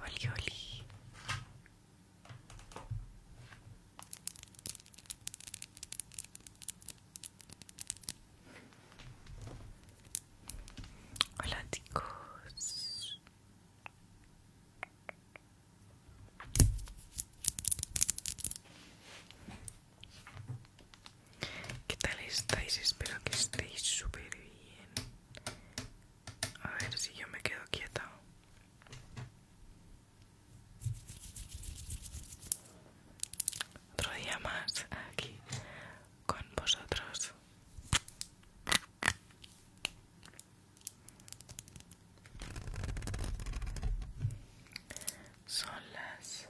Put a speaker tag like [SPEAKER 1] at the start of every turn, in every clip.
[SPEAKER 1] Oli, oli. Hola chicos. ¿Qué tal estáis? Espero que estéis súper bien. A ver si yo me quedo quieta. Otro día más aquí con vosotros. Son las...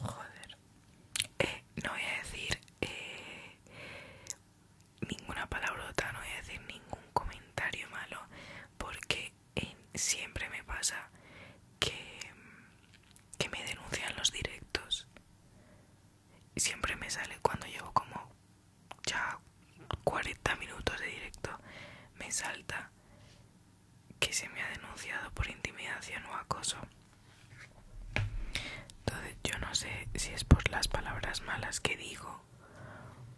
[SPEAKER 1] Joder. Eh, no voy a decir eh, ninguna palabrota, no voy a decir ningún comentario malo, porque eh, siempre me pasa que, que me denuncian los directos. y Siempre me sale cuando llevo como ya 40 minutos de directo me salta que se me ha denunciado por intimidación o acoso. Entonces yo no sé si es por las palabras malas que digo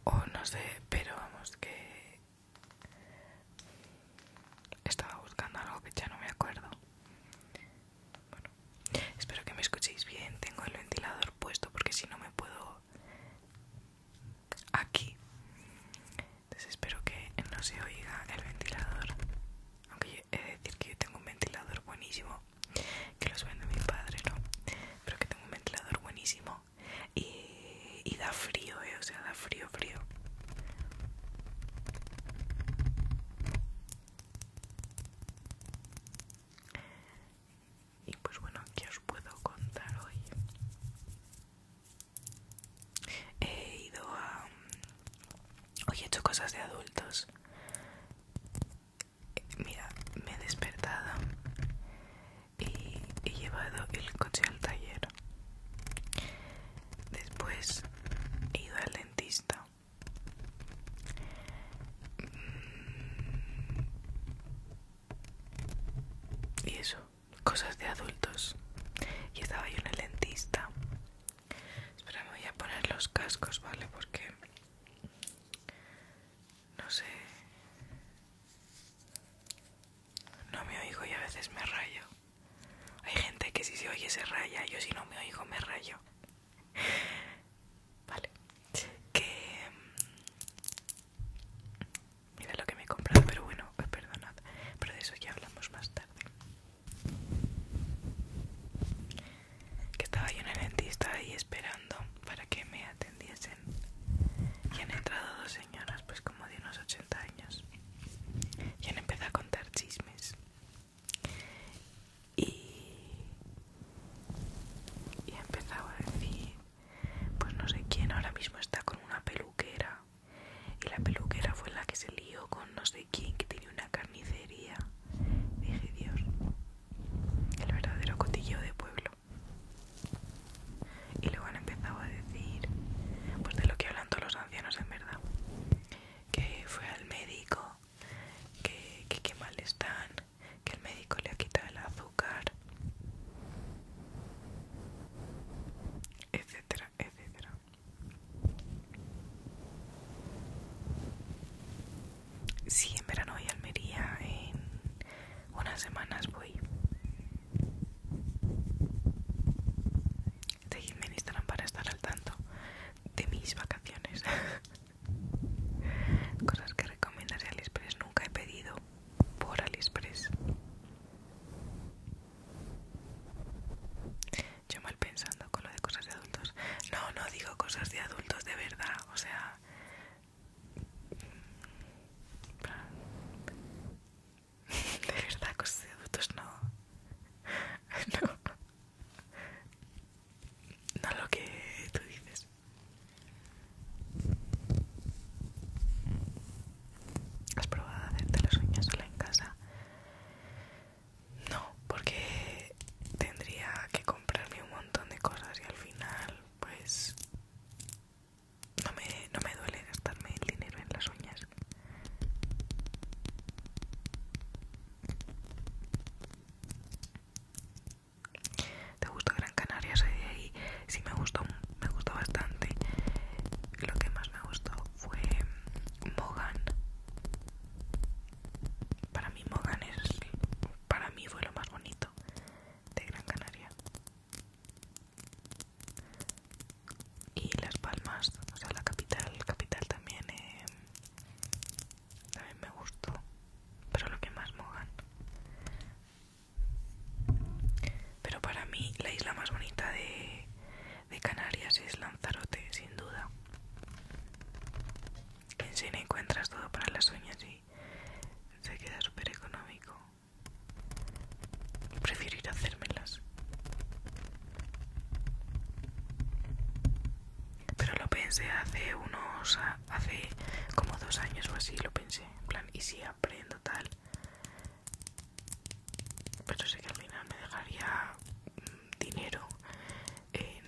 [SPEAKER 1] o no sé, pero vamos que estaba buscando algo que ya no me acuerdo. Bueno, Espero que me escuchéis bien. Tengo el ventilador puesto porque si no me puedo aquí. Entonces espero que no se oiga el ventilador. Aunque he de decir que yo tengo un ventilador buenísimo. Que los vende mi padre, ¿no? Pero que tengo un ventilador buenísimo. Y, y da frío, ¿eh? O sea, da frío, frío y pues bueno que os puedo contar hoy he ido a mm, hoy he hecho cosas de adultos mira me he despertado y he llevado el coche al taller después he ido al dentista y eso, cosas de adultos. Y estaba yo en el dentista. Espera, me voy a poner los cascos, ¿vale? Porque... No sé... No me oigo y a veces me rayo. Hay gente que si se oye se raya, yo si no me oigo me rayo. Vale. Que... Mm, mira lo que me he comprado, pero bueno, eh, perdonad. Pero de eso ya hablamos más tarde. Que estaba yo en el dentista ahí esperando para que me atendiesen. Y han entrado dos señoras, pues como de unos 80 años. Y han empezado a contar chismes y, empezaba a decir pues no sé quién ahora mismo está con una peluquera y la peluquera fue la que se lió con no sé quién que tiene una carnicería dije Dios el verdadero cotillo de pueblo y luego han empezado a decir pues de lo que hablan todos los ancianos en verdad que fue al médico que, qué mal están que el médico le ha quitado el azúcar, etcétera, etcétera. Sí, en verano voy a Almería, en unas semanas voy. Seguidme en Instagram para estar al tanto de mis vacaciones. Cosas que recomiendas de Aliexpress nunca he pedido por Aliexpress. Yo mal pensando con lo de cosas de adultos. No, no digo cosas de adultos de verdad, o sea. De verdad, cosas de adultos no. No. No lo que tú dices. ¿Has probado a hacerte las uñas sola en casa? No, porque tendría que comprarme un montón de cosas y al final, pues, no me, no me duele gastarme el dinero en las uñas. ¿Te gustó Gran Canaria? Sí, me gustó, me gustó bastante. Lo que más me gustó fue Mogan. Para mí Mogan es, para mí fue lo más bonito de Gran Canaria. Y Las Palmas, o sea, la capital, capital también. Eh, también me gustó pero lo que más mojan pero para mí la isla más bonita de, de Canarias es Lanzarote sin duda en cine encuentras todo para las uñas y se queda súper económico prefiero ir a hacérmelas pero lo pensé hace unos hace como dos años o así lo pensé, en plan, y si aprendo tal, pero sé que al final me dejaría mm, dinero en,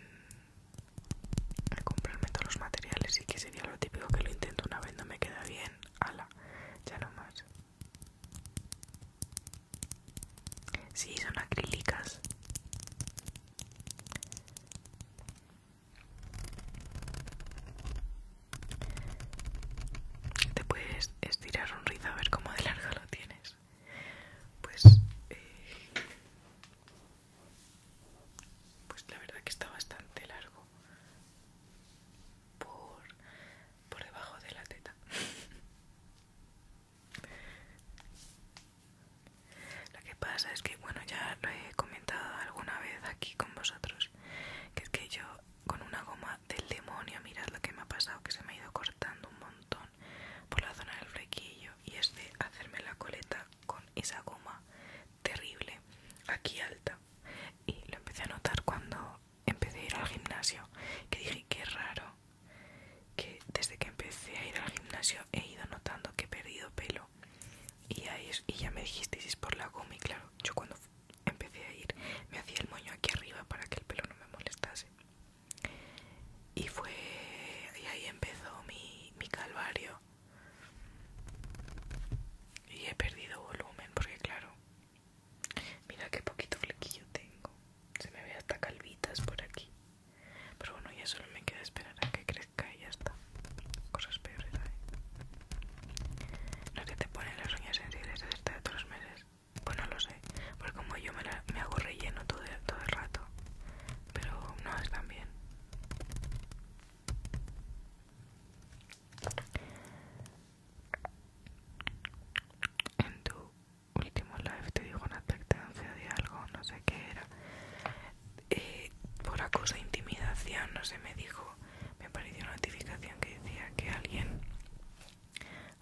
[SPEAKER 1] comprarme todos los materiales y que sería lo típico que lo intento una vez, no me queda bien, ala, ya no más. Sí, son acrílicas. Te puedes estirar un rizo a ver cómo de largo lo tienes. Pues, eh, pues la verdad que está bastante largo por, por debajo de la teta. Lo que pasa es que, bueno, ya lo he comentado alguna vez aquí con vosotros, que es que yo con una goma del demonio, mirad lo que me ha pasado, que se me ha ido cortando un montón por la zona del flequillo y es de hacerme la coleta con esa goma terrible, aquí alta. Y lo empecé a notar cuando empecé a ir al gimnasio, que dije, qué raro, que desde que empecé a ir al gimnasio he ido notando que he perdido pelo y, y ya me Si es por la goma y claro, yo cuando empecé a ir me hacía el moño aquí arriba para que el pelo no me molestase y fue y ahí empezó mi, calvario y he perdido volumen porque claro mira qué poquito flequillo tengo se me ve hasta calvitas por aquí pero bueno ya solo me queda esperar a que y ya está. Cosas peores ahí. No es que te ponen las uñas sensibles desde de otros meses. Pues no lo sé. Porque como yo me, me hago relleno todo, todo el rato. Pero no tan bien. En tu último live te dijo una advertencia de algo, no sé qué era. Eh, por acoso intimidación, no sé, me dijo, me apareció una notificación que decía que alguien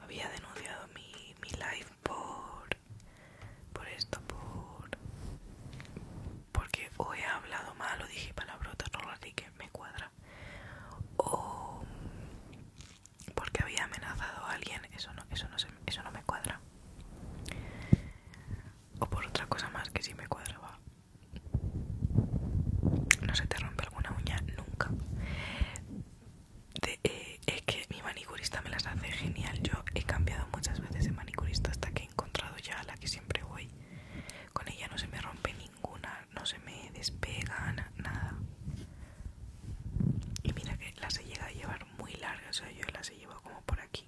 [SPEAKER 1] había denunciado mi, mi live por, por esto, por... porque o he hablado mal o dije palabrotas, no así que me cuadra, o porque había amenazado a alguien, eso no, eso no, eso no me cuadra o por otra cosa más que sí me cuadraba. No se te rompe alguna uña nunca. Eh, es que mi manicurista me las hace genial. Yo he cambiado muchas veces de manicurista hasta que he encontrado ya la que siempre voy. Con ella no se me rompe ninguna, no se me despega nada. Y mira que las he llegado a llevar muy largas, o sea, yo las he llevado como por aquí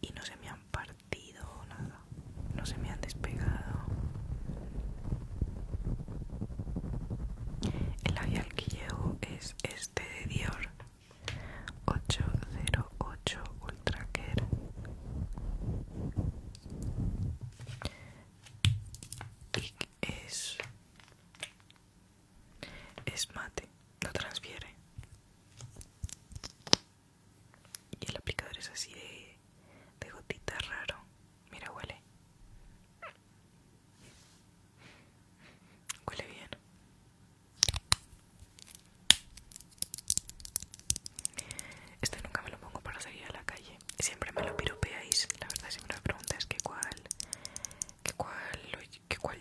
[SPEAKER 1] y no se me han partido nada, no se me han despegado. El labial que llevo es este de Dior 808 Ultra Care. Y es es mate, no transfiere. Y el aplicador es así de, gotita raro. Mira, huele. Huele bien. Este nunca me lo pongo para salir a la calle. Siempre me lo piropeáis. La verdad, siempre me preguntas que cuál, cuál,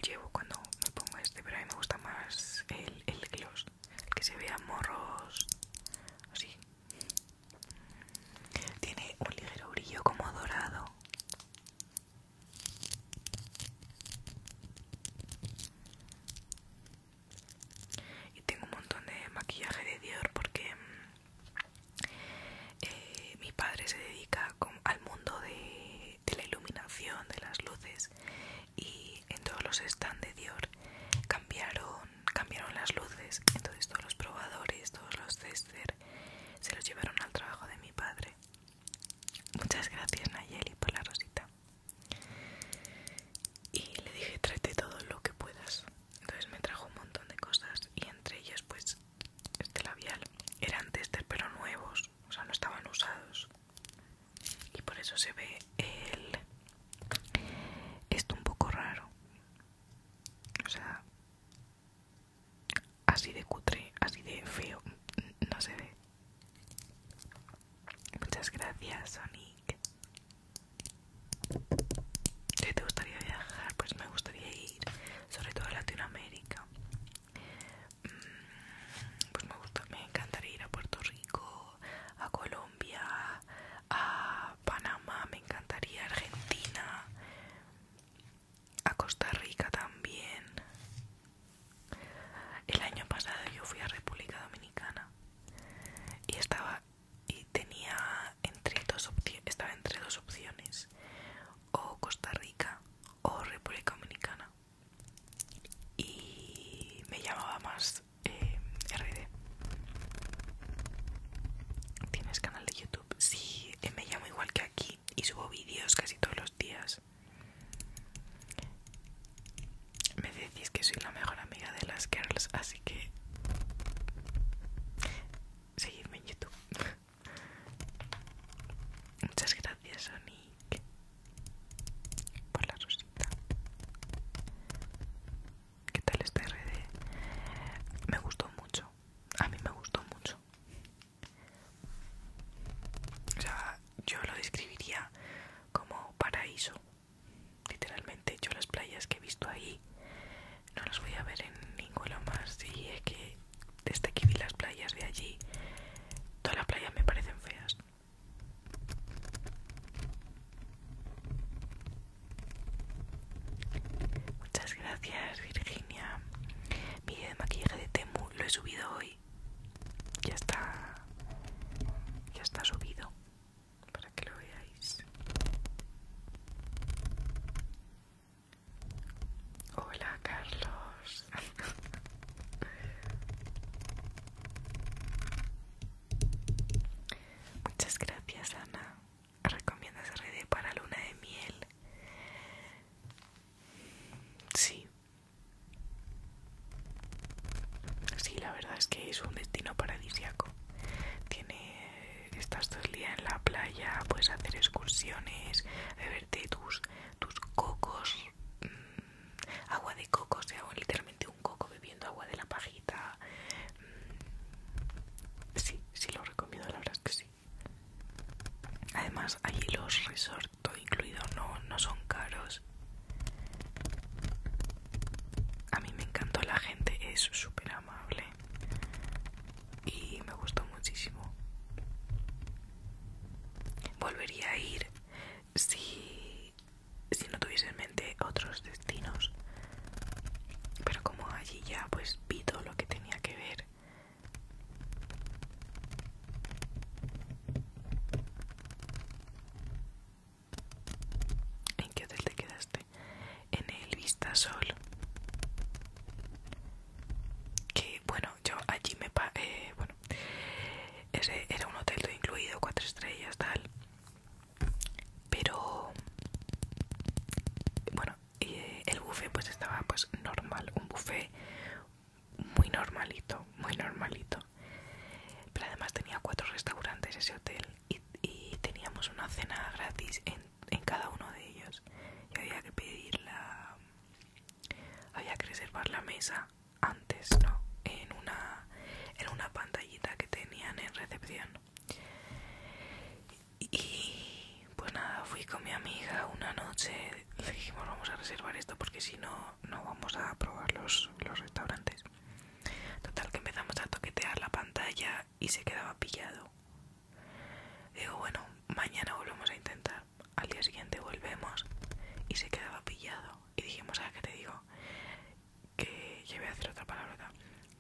[SPEAKER 1] llevo cuando me pongo este. Pero a mí me gusta más el gloss. El que se vea morros así. Tiene un ligero brillo como dorado. Y tengo un montón de maquillaje de Dior porque mm, eh, mi padre se dedica al mundo de la iluminación, de las luces y en todos los stands de Dior cambiaron, cambiaron las luces, entonces todos los probadores, todos los tester se los llevaron al trabajo de mi padre. Muchas gracias Nayeli por la rosita. Y le dije tráete todo lo que puedas. Entonces me trajo un montón de cosas y entre ellas pues este labial. Eran testers pero nuevos, o sea no estaban usados y por eso se ve el esto un poco raro o sea así de cutre así de feo no se ve muchas gracias Sonic ¿Qué te gustaría viajar pues me gustaría ir sobre todo a Latinoamérica Mm, pues me gusta, me encantaría ir a Puerto Rico, a Colombia, a Panamá, me encantaría Argentina, a Costa Rica también. El año pasado yo fui a República Dominicana y estaba y tenía entre dos estaba entre dos opciones, o Costa Rica o República Dominicana y me llamaba más eh, RD. ¿Tienes canal de YouTube? Sí, eh, me llamo igual que aquí y subo vídeos casi todos los días. Me decís que soy la mejor amiga de las girls, así que seguidme en YouTube. Muchas gracias, Sony por la rosita ¿Qué tal este RD? Me gustó mucho, a mí me gustó mucho O sea, yo lo describiría como paraíso Literalmente, yo las playas que he visto ahí no las voy a ver en ninguno más Y es que desde que vi las playas de allí, todas las playas me parecen feas Muchas gracias, Virginia. Mi de maquillaje de Temu lo he subido hoy. Ya está. Ya está subido. Para que lo veáis. Hola, Carlos. Muchas gracias, Ana. ¿Recomiendas RD para luna de miel? Sí. Sí, la verdad es que es un destino paradisiaco. Tiene estás dos días en la playa, puedes hacer excursiones, Verte tus, tus cocos mm, agua de coco, o sea, literalmente un coco bebiendo agua de la pajita. Mm. Sí, sí lo recomiendo, la verdad es que sí. Además, allí los resortos incluidos incluido, no, no son caros. A mí me encantó la gente, es súper amable y me gustó muchísimo. Volvería a ir, si, si no tuviese en mente otros destinos. Pero como allí ya pues vi todo lo que tenía que ver. ¿En qué hotel te quedaste? En el Vistasol. Que bueno, yo allí me... bueno, ese era un hotel todo incluido cuatro estrellas tal pero bueno eh, el buffet pues estaba pues normal un buffet muy normalito muy normalito pero además tenía cuatro restaurantes ese hotel y, teníamos una cena gratis en, cada uno de ellos y había que pedir la había que reservar la mesa antes, ¿no? En una, en una pantallita que tenían en recepción. Y pues nada, fui con mi amiga una noche, le dijimos vamos a reservar esto porque si no, no vamos a probar los, los restaurantes. Total que empezamos a toquetear la pantalla y se quedaba pillado. Digo, bueno, mañana volvemos a intentar. Al día siguiente volvemos y se quedaba pillado. Y dijimos, ¿a ah, qué te digo? que ya voy a hacer otra palabra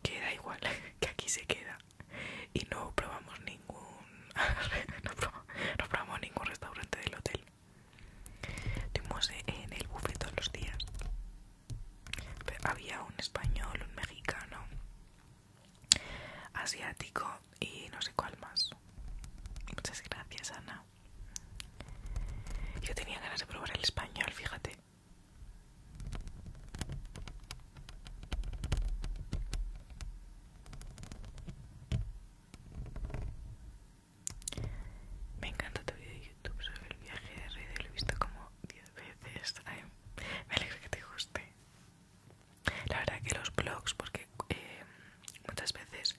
[SPEAKER 1] que da igual que aquí se queda y no probamos ningún no, probamos, ningún restaurante del hotel tuvimos en el buffet todos los días había un español un mexicano asiático y no sé cuál más muchas gracias Ana yo tenía ganas de probar el español, fíjate. Me encanta tu vídeo de YouTube sobre el viaje de Rey, lo he visto como 10 veces. me alegra que te guste. La verdad que los vlogs porque eh, muchas veces,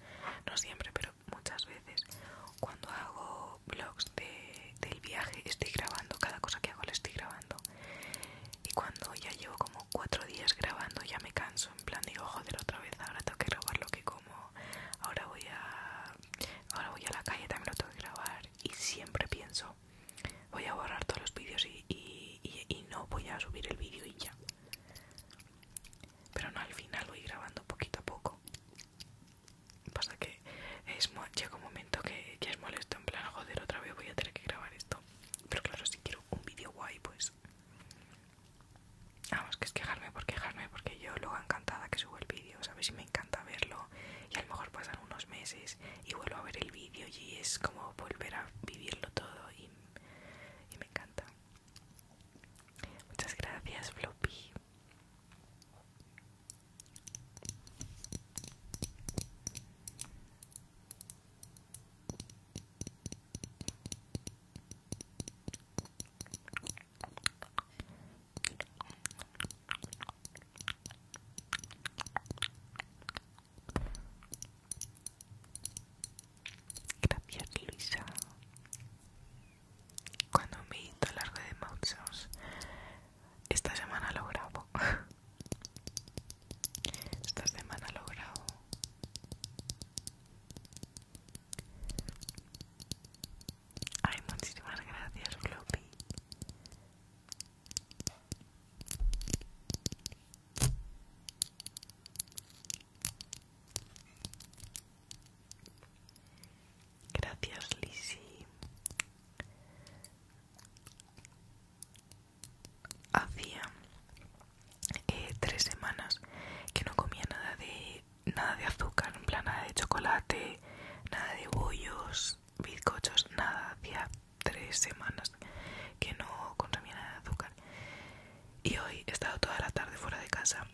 [SPEAKER 1] no siempre, pero muchas veces cuando hago vlogs de, del viaje estoy grabando cada cosa que hago la estoy grabando y cuando ya llevo como cuatro días grabando ya me canso en plan digo joder otra vez ahora tengo que grabar lo que como ahora voy a ahora voy a la calle también lo tengo que grabar y siempre pienso voy a borrar todos los vídeos y, y no voy a subir el vídeo y ya pero no al final voy grabando poquito a poco pasa que llega un momento que ya es molesto en plan joder otra vez voy a tener que grabar esto pero claro si quiero un vídeo guay pues vamos que es quejarme por quejarme porque yo luego encantada que subo el vídeo sabes y me encanta verlo y a lo mejor pasan unos meses y vuelvo a ver el vídeo y es como volver a vivirlo todo y me encanta Muchas gracias, Flopi. Gracias, Luisa cuando me edito largo de mochos esta semana lo grabo esta semana lo grabo ay muchísimas gracias Gracias, Lisi. Hacía eh, tres semanas que no comía nada de nada de azúcar, en plan nada de chocolate, nada de bollos, bizcochos, nada. Hacía tres semanas que no consumía nada de azúcar y hoy he estado toda la tarde fuera de casa.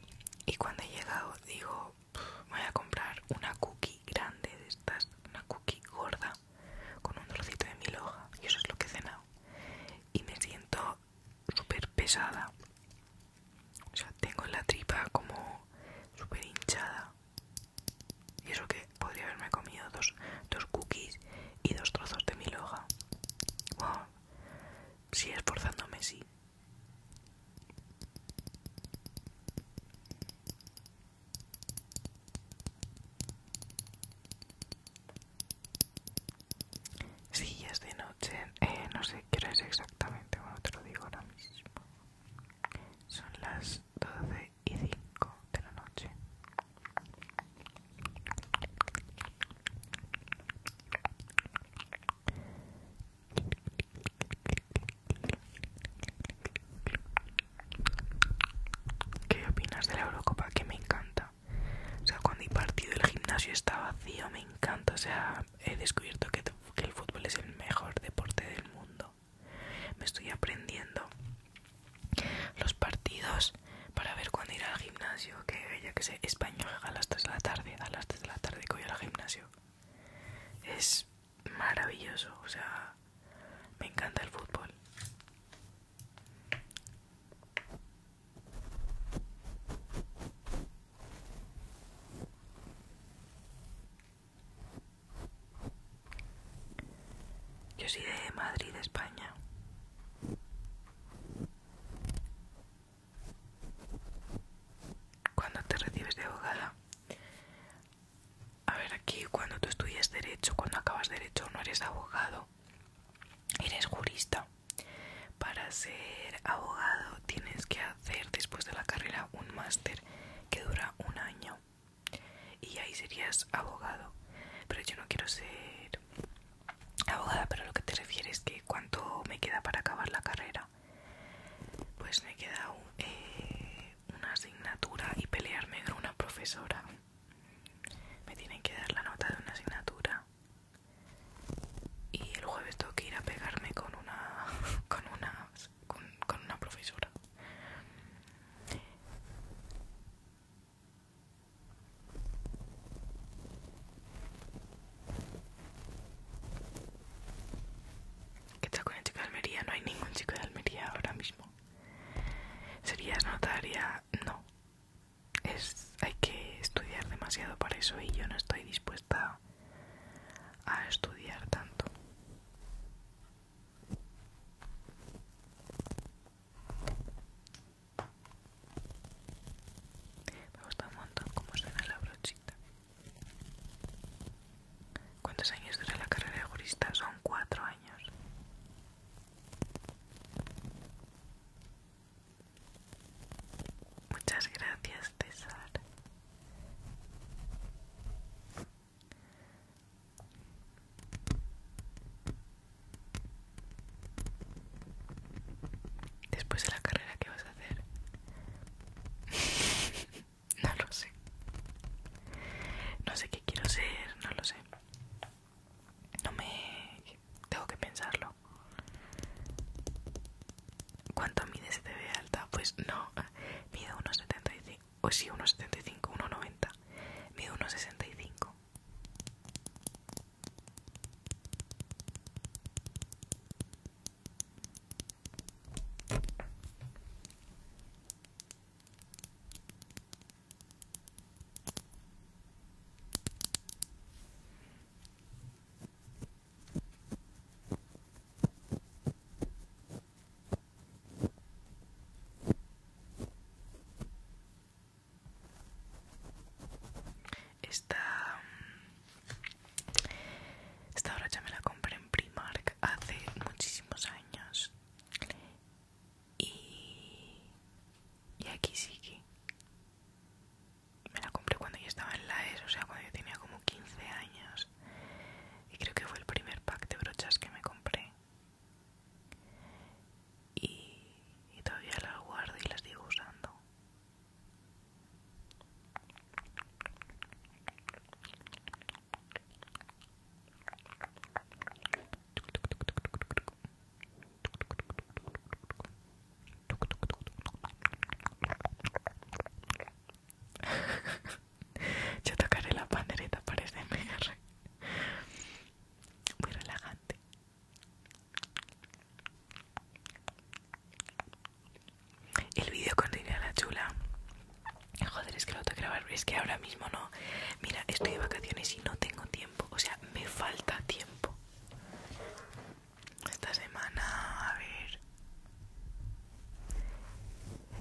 [SPEAKER 1] Y cuando he llegado, digo, voy a comprar una cookie grande de estas, una cookie gorda, con un trocito de mi loja Y eso es lo que he cenado. Y me siento súper pesada. O sea, tengo la tripa como súper hinchada. Y eso que podría haberme comido dos, cookies y dos trozos de mi loja esforzándome, sí sí, es de noche, eh, no sé qué es exactamente, bueno te lo digo ahora mismo. Son las doce y cinco de la noche. ¿Qué opinas de la Eurocopa? Que me encanta. O sea, cuando hay partido el gimnasio está vacío, me encanta. O sea, he descubierto que, que el fútbol es el mejor deporte del mundo. Me estoy aprendiendo los partidos para ver cuándo ir al gimnasio que ya que sé, español a las 3 de la tarde, a las 3 de la tarde que voy al gimnasio. Es maravilloso, o sea, me encanta el fútbol. Yo soy de Madrid, España. Cuando te recibes de abogada. A ver, aquí cuando tú estudias derecho, cuando acabas derecho no eres abogado, eres jurista. Para ser abogado tienes que hacer después de la carrera un máster que dura un año y ahí serías abogado. Pero yo no quiero ser abogada, pero lo que te refieres que cuánto me queda para acabar la carrera pues me queda eh, una asignatura y pelearme con una profesora me tienen que dar la nota de una asignatura y el jueves tengo que ir a pegarme con una con una con una profesora ¿Qué tal con el chico de Almería? No hay ningún chico de Almería ahora mismo. ¿Serías notaria? No. Es, hay que estudiar demasiado para eso y yo no estoy dispuesta a estudiar tanto. Me gusta un montón cómo suena la brocha ¿Cuántos años dura la carrera de jurista? Son cuatro años. Muchas gracias, César. Después de la carrera, ¿qué vas a hacer? no lo sé. No sé qué quiero ser, no lo sé. No me... Tengo que pensarlo. ¿Cuánto mide ve alta? Pues no, ah, mide 1,75. O sí, 1,75, 1,90. Mide 1,65. Está... Mm, esta brocha me la compré en Primark hace muchísimos años. Y, y aquí sí que me la compré cuando yo estaba en la ES, o sea, cuando yo tenía como 15 años. Y creo que fue el primer pack de brochas que me compré. Y, y todavía las guardo y las sigo usando. Yo tocaré la pandereta para este Muy relajante. El vídeo con la Chula. Joder, es que lo tengo que grabar. Es que ahora mismo no. Mira, estoy de vacaciones y no tengo tiempo. O sea, me falta tiempo. Esta semana, a ver.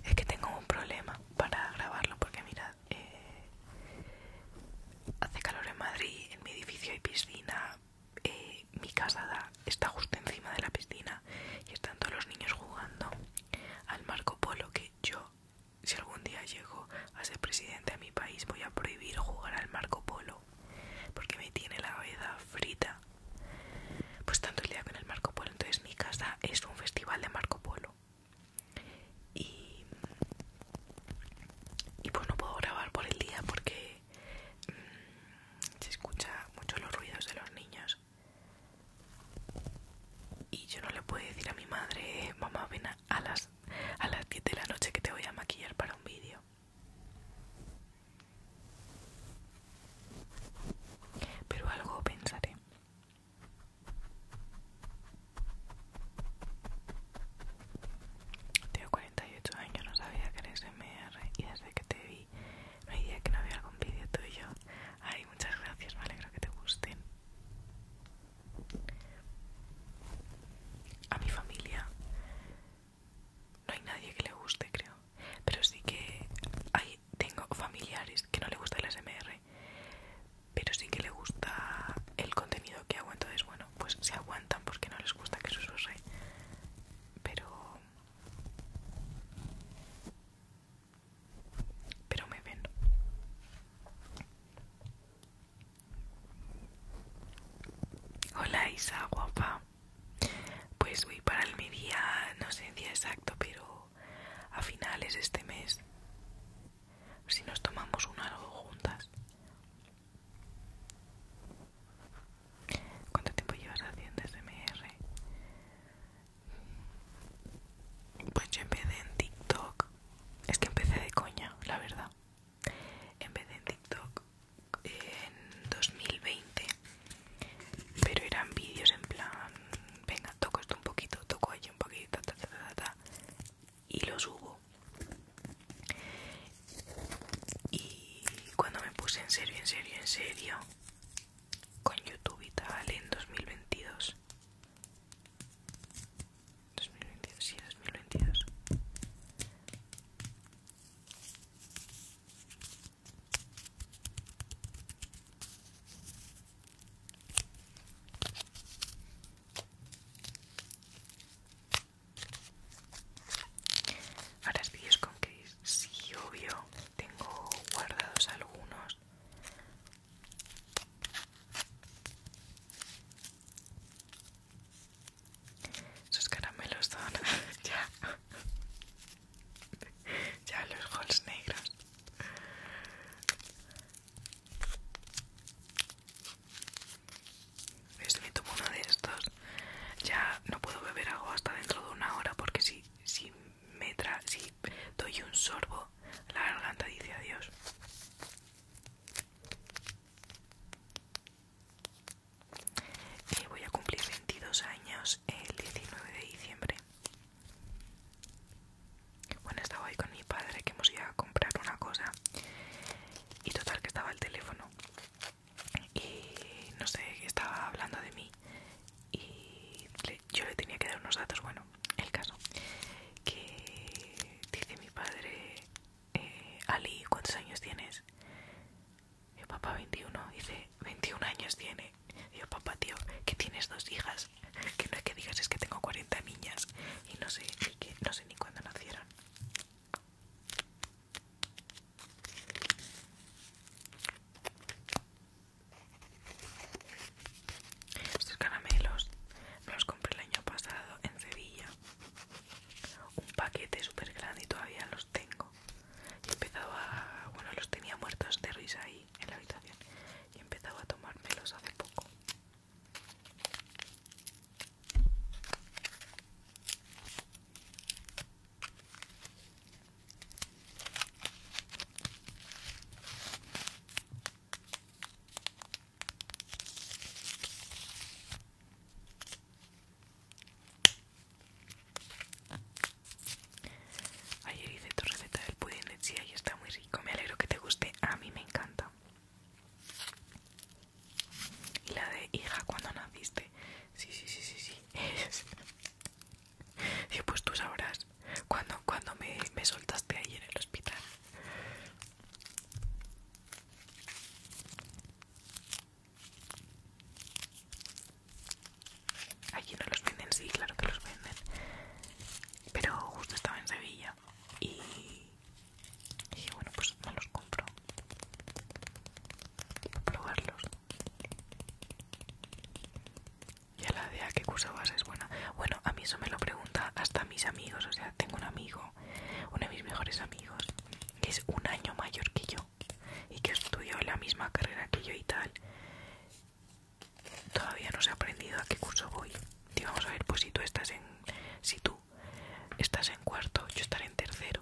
[SPEAKER 1] Es que tengo un problema para grabarlo porque mirad, eh, hace calor en Madrid, en mi edificio hay piscina, eh, mi casa está justo encima de la piscina y están todos los niños jugando al Marco Polo que yo si algún día llego a ser presidente de mi país voy a prohibir jugar al Marco Polo porque me tiene la cabeza frita pues tanto el día con el Marco Polo entonces mi casa es un festival de Marco Polo y, y pues no puedo grabar por el día porque Mm, se escucha mucho los ruidos de los niños y yo no le puedo decir a mi madre mamá ven a las a 10 de la noche que te voy a maquillar para un vídeo pero algo pensaré tengo 38 años, no sabía que era MR y desde que te vi no hay día que no había algún vídeo tuyo. Ay, muchas gracias, me alegro que te gusten. A mi familia no hay nadie que le guste, creo. Pero sí que hay, tengo familiares que no le gusta el SMR, pero sí que le gusta el contenido que hago. Entonces, bueno, pues se aguantan porque no les gusta que su use pero pero me ven hola Isa guapa pues voy para el mi no sé el día exacto pero a finales de este mes si nos tomamos o dos juntas ¿Cuánto tiempo llevas haciendo SMR? Pues yo empecé en TikTok. Es que empecé de coña, la verdad. Empecé en TikTok en 2020. Pero eran vídeos en plan, venga, toco esto un poquito, toco allí un poquito, ta, ta, ta, ta, y lo subo. Y cuando me puse en serio, en serio, en serio con YouTube y tal en 2022. 2022, sí, 2022. Ahora vídeos con que sí obvio tengo guardados algunos esos caramelos son ya ya los holes negros ¿Ves? Me tomo uno de estos. Ya no puedo beber agua hasta dentro de una hora porque si, si, me si doy un sorbo, la garganta dice adiós. y eh, voy a cumplir 22 años el 19 de diciembre. Bueno, estaba ahí con mi padre que hemos ido a comprar una cosa. Y total que estaba el teléfono y no sé, estaba hablando de mí y yo le tenía que dar unos datos, bueno, el caso, que dice mi padre, eh, Ali, ¿cuántos años tienes? Yo, papá, 21, dice, 21 años tiene. Yo, papá, tío, que tienes dos hijas, que no es que digas es que tengo 40 niñas y no sé, que no sé ni cuándo nacieron. Estos caramelos me los compré el año pasado en Sevilla. Un paquete súper grande y todavía los tengo. Y he empezado a... Bueno, los tenía muertos de risa ahí en la habitación. Y he empezado a tomármelos hace poco. Ayer hice tu receta del pudín de chía y está muy rico. Me alegro que te guste. A mí me encanta. Y la de hija cuando naciste. Sí, sí, sí, sí, sí. Y pues tú sabrás cuando, cuando me, soltaste Ayer en el hospital. Allí no los venden, sí, claro que los venden. Pero justo estaba en Sevilla y, y bueno, pues no los compro. y probarlos. de la idea curso vas es buena. Bueno, a mí eso me lo pregunta hasta mis amigos. O sea, tengo un amigo, uno de mis mejores amigos, que es un año mayor que yo y que estudió la misma carrera que yo y tal. Todavía no se ha aprendido a qué curso voy. digamos vamos a ver, pues si tú estás en. Si tú estás en cuarto, yo estaré en tercero.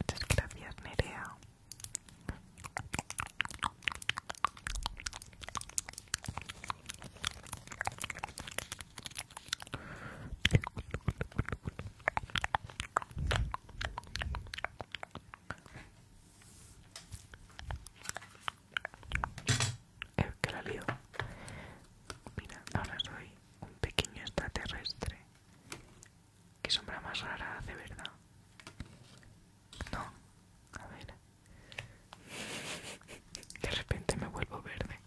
[SPEAKER 1] Muchas gracias, Nerea. ¡Eh, que la lío. Mira, ahora soy un pequeño extraterrestre Qué sombra más rara hace, ¿verdad? No, a ver. De repente me vuelvo verde.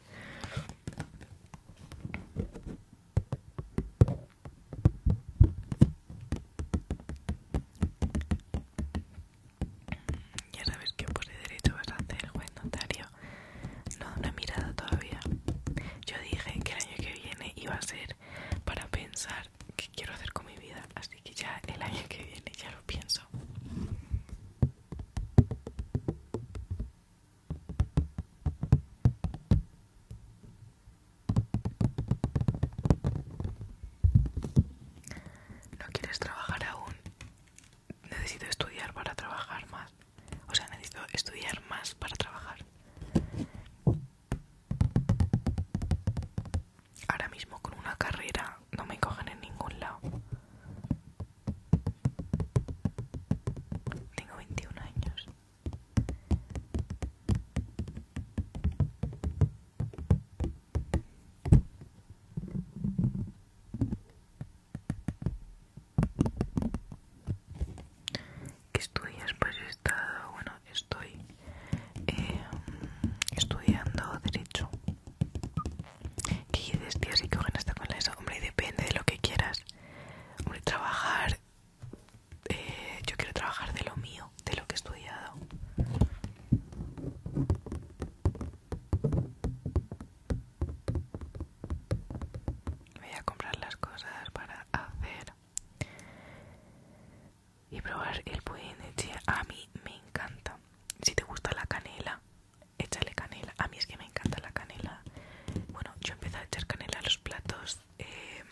[SPEAKER 1] Ya sabes que por derecho vas a hacer, buen notario. No, una mirada todavía. Yo dije que el año que viene iba a ser para pensar qué quiero hacer con mi vida. Así que ya el año que viene ya lo pienso. ¿No quieres trabajar aún? Necesito estudiar para trabajar más. O sea, necesito estudiar más para trabajar. Ahora mismo con una carrera no me cogen en ningún lado. Tengo 21 años estudias? Pues he estado, bueno, estoy em, estudiando Derecho. ¿Qué dices, tío? si está con la ESO? Hombre, depende de lo que quieras. Hombre, trabajar... Eh, yo quiero trabajar de lo mío, de lo que he estudiado. Voy a comprar las cosas para hacer y probar el pudín de a mí me encanta si te gusta la canela échale canela a mí es que me encanta la canela bueno yo empecé a echar canela a los platos eh,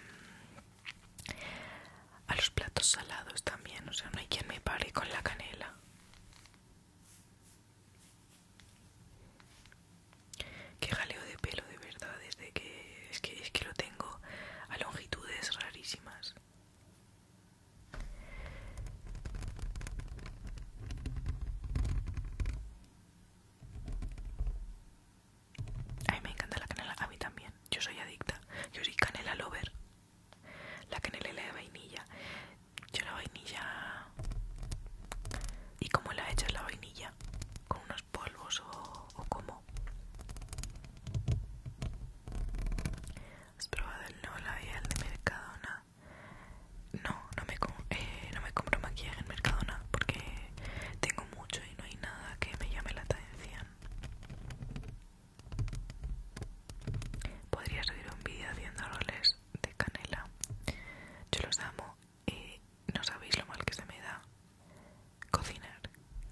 [SPEAKER 1] a los platos salados también o sea no hay quien me pare con la canela que jaleo de pelo, de verdad, desde que es que, lo tengo a longitudes rarísimas. A mí me encanta la canela, a mí también. Yo soy adicta. Yo soy canela lover. La canela y la de vainilla. Yo la vainilla... ¿Y cómo la he hecho la vainilla? ¿Con unos polvos o, como ¿Has probado el y el de Mercadona? No, no me, eh, no me compro maquillaje en Mercadona porque tengo mucho y no hay nada que me llame la atención. Podría subir un vídeo haciendo roles de canela. Yo los amo no sabéis lo mal que se me da cocinar.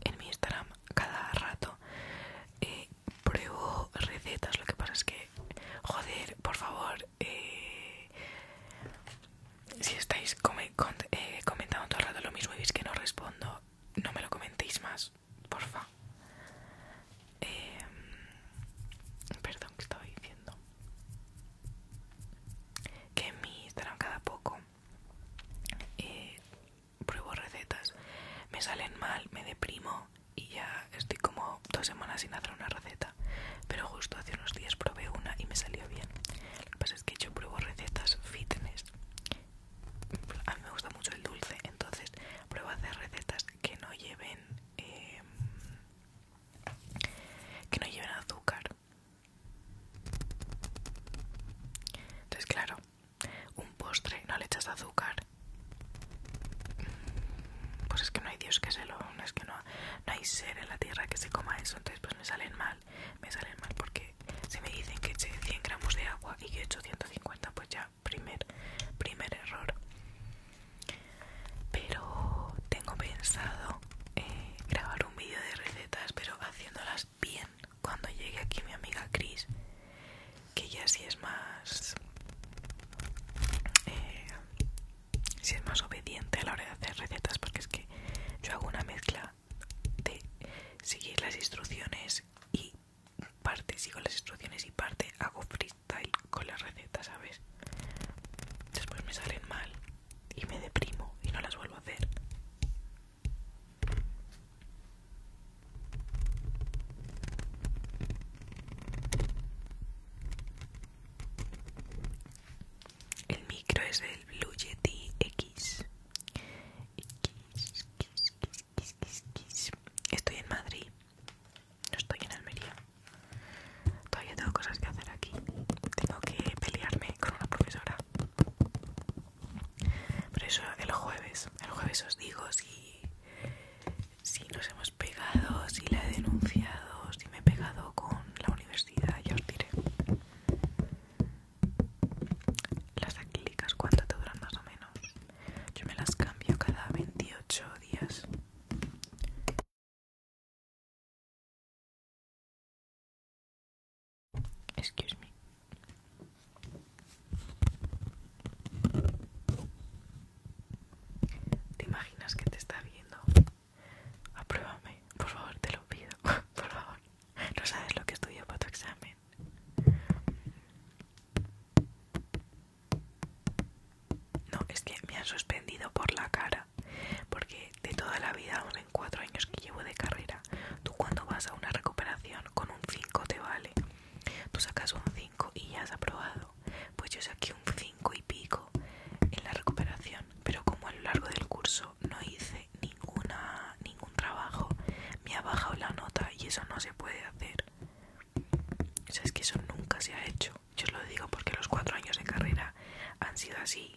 [SPEAKER 1] En mi Instagram cada rato eh, pruebo recetas, lo que pasa es que, joder, por favor, eh, si estáis eh, comentando todo el rato lo mismo y que no respondo, no me lo comentéis más, porfa. Em, perdón, que estaba diciendo? Que en mi Instagram cada poco eh, pruebo recetas, me salen mal, me deprimo y ya estoy como dos semanas sin hacer una receta. Pero justo hace unos días probé una y me salió bien. Lo que pasa es que yo pruebo recetas fitness. A mí me gusta mucho el dulce, entonces pruebo hacer recetas que no lleven eh, que no lleven azúcar entonces, claro, un postre no le echas azúcar. Pues es que no hay Dios que se lo. No es que no, hay ser en la tierra que se coma eso. Entonces, pues me salen mal. Me salen mal porque si me dicen que eche 100 gramos de agua y que echo 150, pues ya, primer, primer error. Pero tengo pensado eh, grabar un vídeo de recetas, pero haciéndolas bien cuando llegue aquí mi amiga Chris, que ya sí es más. si eh, sí es más obediente a la hora de hacer recetas, porque es que yo hago una mezcla de seguir las instrucciones y parte sigo las instrucciones y parte hago freestyle con las recetas, ¿sabes? Después me salen mal y me deprimo y no las vuelvo a hacer. El micro es el Blue Yeti X. X. Estoy en Madrid, no estoy en Almería. Todavía tengo cosas que hacer aquí. Tengo que pelearme con una profesora. Por eso el jueves, el jueves os digo si, si nos hemos pegado, si la he denunciado, si me he pegado con la universidad, ya os diré. Las acrílicas, ¿cuánto te duran más o menos? Yo me las cambio cada 28 días. Excuse me. ¿Te imaginas que te está viendo? Apruébame, por favor, te lo pido, por favor. No sabes lo que estudio para tu examen. No, es que me han suspendido por la cara. Porque de toda la vida, aún en cuatro años que llevo de carrera, tú cuando vas a una recuperación con un 5 te vale. Tú sacas un 5 y ya has aprobado. Pues yo saqué un 5 y pico en la recuperación, pero como a lo largo del curso no hice ninguna ningún trabajo, me ha bajado la nota y eso no se puede hacer. O es que eso nunca se ha hecho. Yo os lo digo porque los cuatro años de carrera han sido así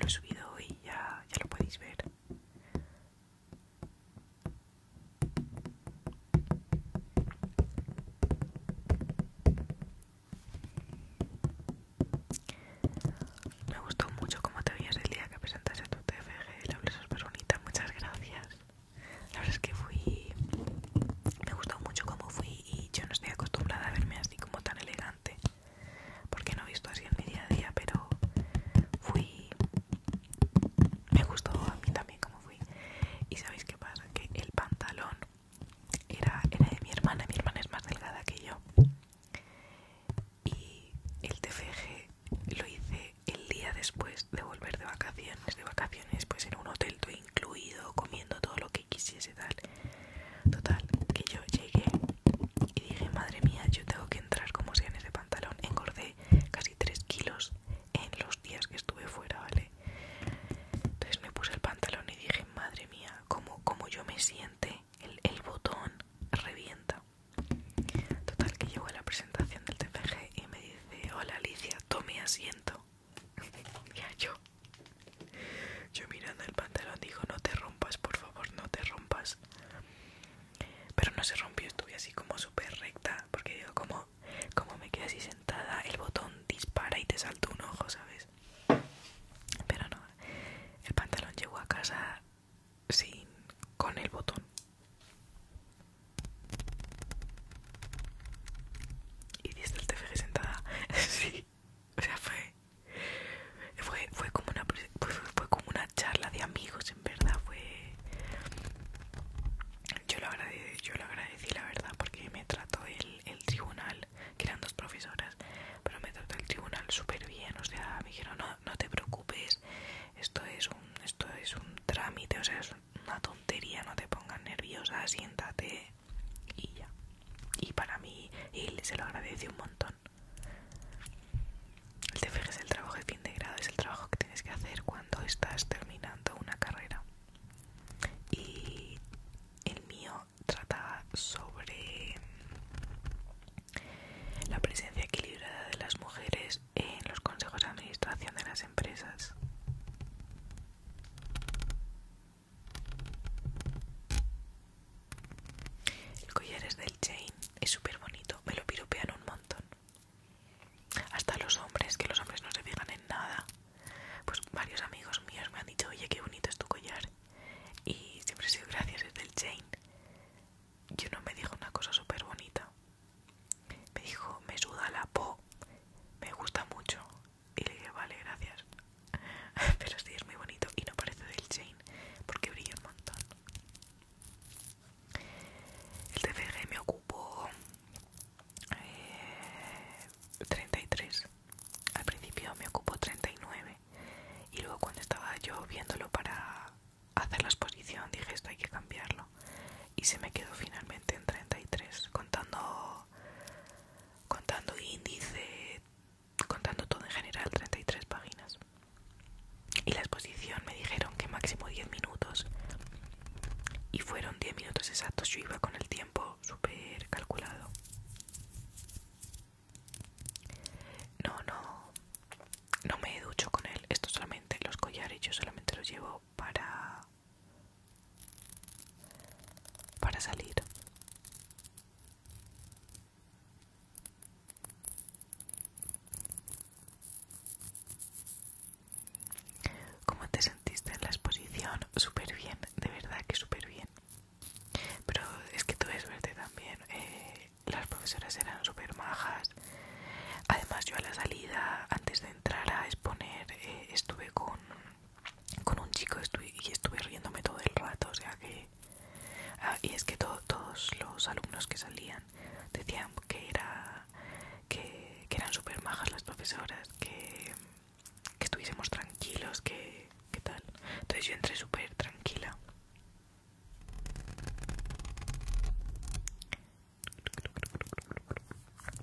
[SPEAKER 1] lo he subido y ya, ya lo podéis ver me gustó mucho cómo te veías el día que presentaste tu TFG, la bonita, muchas gracias. La verdad es que fui... me gustó mucho cómo fui y yo no estoy acostumbrada a verme así como tan elegante porque no he visto así en mi día a día pero fui me gustó a mí también como fui y sabéis qué pasa que el pantalón era, de mi hermana mi hermana es más delgada que yo y el TFG lo hice el día después de volver de vacaciones de vacaciones pues en un hotel todo incluido comiendo todo lo que quisiese tal total que yo llegué y dije, madre mía, yo tengo que entrar como si en ese pantalón. Engordé casi 3 kilos en los días que estuve fuera, ¿vale? Entonces me puse el pantalón y dije, madre mía, como, como yo me siente, el, botón revienta. Total, que llego a la presentación del TFG y me dice, hola Alicia, tome asiento. Y yo. Yo mirando el pantalón Dijo no te rompas, por favor, no te rompas. Pero no se rompió, estuve así como súper recta, porque digo, como, como me quedé así sentada, el botón dispara y te salta un ojo, ¿sabes? Pero no, el pantalón llegó a casa sin, con el botón. y el TFG sentada? sí o sea fue fue, como una fue, como una charla de amigos en verdad fue yo lo agradecí yo lo agradecí la verdad porque me trató el, tribunal que eran dos profesoras pero me trató el tribunal súper bien o sea me dijeron no no te preocupes esto es un esto es un trámite o sea es una tontería no te pongas nerviosa siéntate y ya y para mí él se lo agradeció un montón el TFG es el trabajo de fin de grado, es el trabajo que tienes que hacer cuando estás terminando una carrera. Y el mío trataba sobre la presencia equilibrada de las mujeres en los consejos de administración de las empresas. El collar es del Chain, es súper bonito, me lo piropean un montón. Hasta los hombres, que los hombres no se fijan en nada. Pues varios amigos míos me han dicho, oye, qué bonito es tu collar. Y siempre he sido gracias, es del Chain. Yo no me dijo una cosa super bonita. Me dijo, me suda la po, me gusta mucho. Y le dije, vale, gracias. Pero sí, es muy bonito y no parece del chain porque brilla un montón. El TPG me ocupó 33. Eh, Al principio me ocupó 39. Y luego cuando estaba yo viéndolo para hacer la exposición dije esto hay que cambiarlo. Y se me quedó finalmente en 33. Contando, contando índice, contando todo en general 33 páginas y la exposición me dijeron que máximo 10 minutos y fueron 10 minutos exactos yo iba con el tiempo súper calculado no no no me ducho con él esto solamente los collares yo solamente los llevo para para salir ¿Cómo te sentiste en la exposición? Súper bien, de verdad que súper bien. Pero es que tuve verde también. Eh, las profesoras eran súper majas. Además, yo a la salida, antes de entrar a exponer, eh, estuve con, con un chico y estuve riéndome todo el rato. O sea que Ah, y es que todos los alumnos que salían decían que, era, que, eran súper majas las profesoras, que, que estuviésemos tranquilos, que, tal. Entonces yo entré súper tranquila.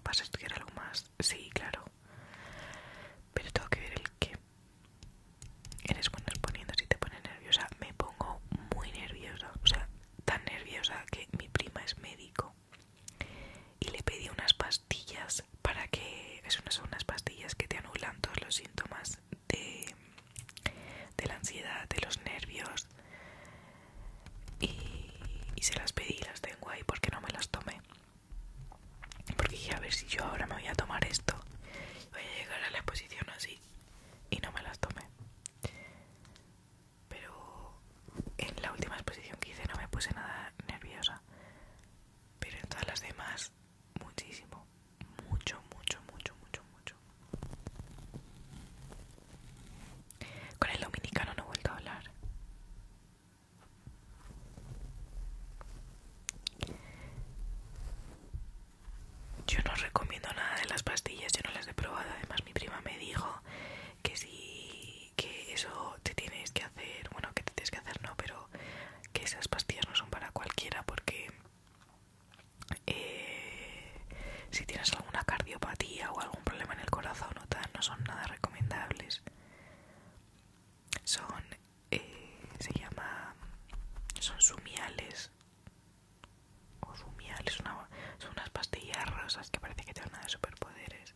[SPEAKER 1] ¿Vas a estudiar algo más? Sí, claro. Pero tengo que ver el qué eres buena poniendo si te pone nerviosa. Me pongo muy nerviosa, o sea, tan nerviosa que mi prima es médico y le pedí unas pastillas para que es unas, unas pastillas que te anulan todos los síntomas de, de la ansiedad, de los nervios y, y se las pedí, las tengo ahí porque no me las tomé porque dije a ver si yo ahora me voy a tomar esto voy a llegar a la exposición así y no me las tomé. Pero en la última exposición que hice no me puse nada nerviosa. Pero en todas las demás, muchísimo. Mucho, mucho, mucho, mucho, mucho. Con el dominicano no he vuelto a hablar. Yo no recomiendo nada de las pastillas, yo no las he probado. Además, mi prima me dijo que sí que eso te tienes que hacer, bueno, que te tienes que hacer no, pero que esas pastillas no son para cualquiera porque eh, si tienes alguna cardiopatía o algún problema en el corazón o tal, no son nada recomendables. Son eh, se llama son sumiales o sumiales son unas pastillas rosas que parece que te nada de superpoderes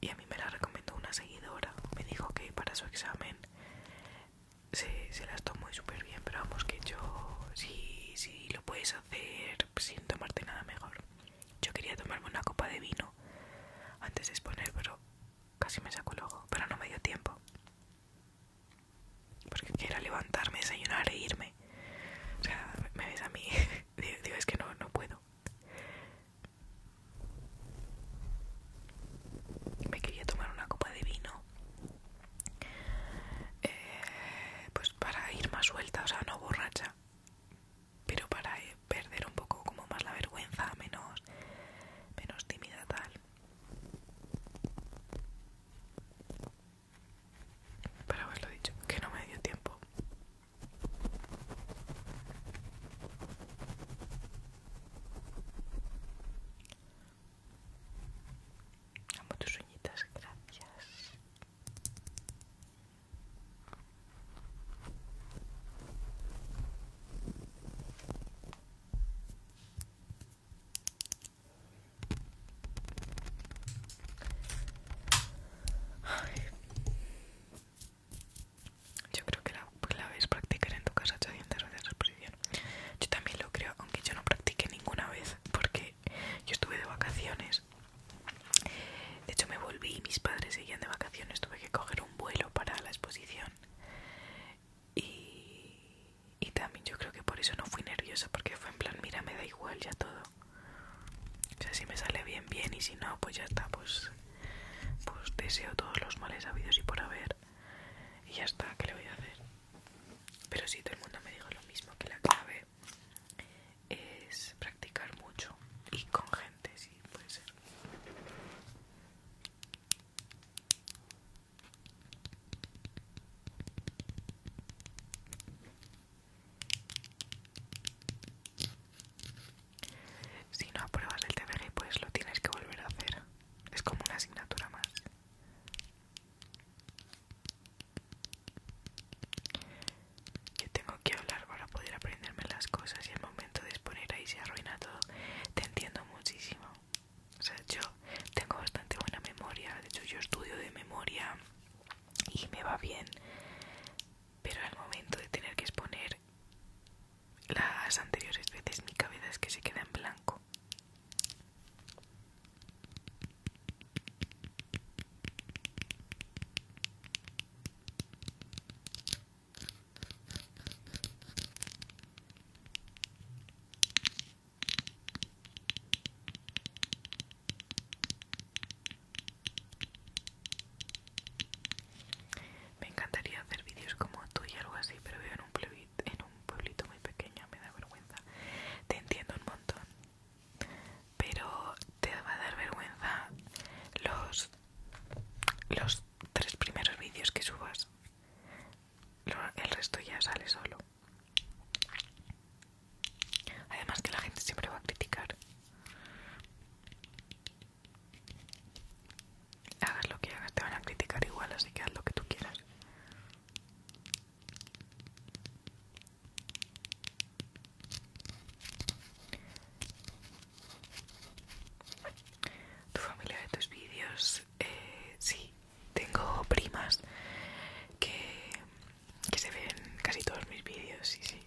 [SPEAKER 1] y a mí me las recomendó una seguidora me dijo que para su examen se, las tomó súper bien pero vamos que yo si, si lo puedes hacer sin tomarte nada mejor yo quería tomarme una copa de vino antes de exponer pero Casi me saco el ojo, pero no me dio tiempo. Porque quiero levantarme, desayunar e irme. O sea, me ves a mí. Digo, es que no, puedo. Me quería tomar una copa de vino. Eh, pues para ir más suelta, o sea, no borracha. Pero para perder un poco como más la vergüenza, menos, menos tímida tal. Para haberlo dicho, que no me dio tiempo. Amo tus gracias. Yo creo que la, clave pues, es practicar en tu casa de la exposición. Yo también lo creo, aunque yo no practiqué ninguna vez, porque yo estuve de vacaciones. De hecho, me volví y mis padres seguían de vacaciones. Tuve que coger un vuelo para la exposición y, también yo creo que por eso no fui nerviosa porque fue en plan mira me da igual ya todo o sea si me sale bien bien y si no pues ya está pues pues deseo todos los males habidos y por haber y ya está ¿qué le voy a hacer? pero si sí, todo el mundo me dijo lo mismo que la clave es practicar mucho y con gente sí, puede ser si no apruebas el TBG, pues lo tienes que volver a hacer. Es como una asignatura más. Yo tengo que hablar para poder aprenderme las cosas y el momento de exponer ahí se arruina todo. Te entiendo muchísimo. O sea, yo tengo bastante buena memoria. De hecho, yo estudio de memoria y me va bien. Pero al momento de tener que exponer las anteriores veces, mi cabeza es que se queda en blanco. Me encantaría hacer vídeos como tú y algo así, pero vivo en un, pueblito, en un pueblito muy pequeño, me da vergüenza. Te entiendo un montón, pero te va a dar vergüenza los, los tres primeros vídeos que subas. El resto ya sale solo. Además que la gente siempre va a criticar. Hagas lo que hagas, te van a criticar igual, así que haz lo que tú quieras tu familia de tus vídeos eh, sí tengo primas que, se ven casi todos mis vídeos sí sí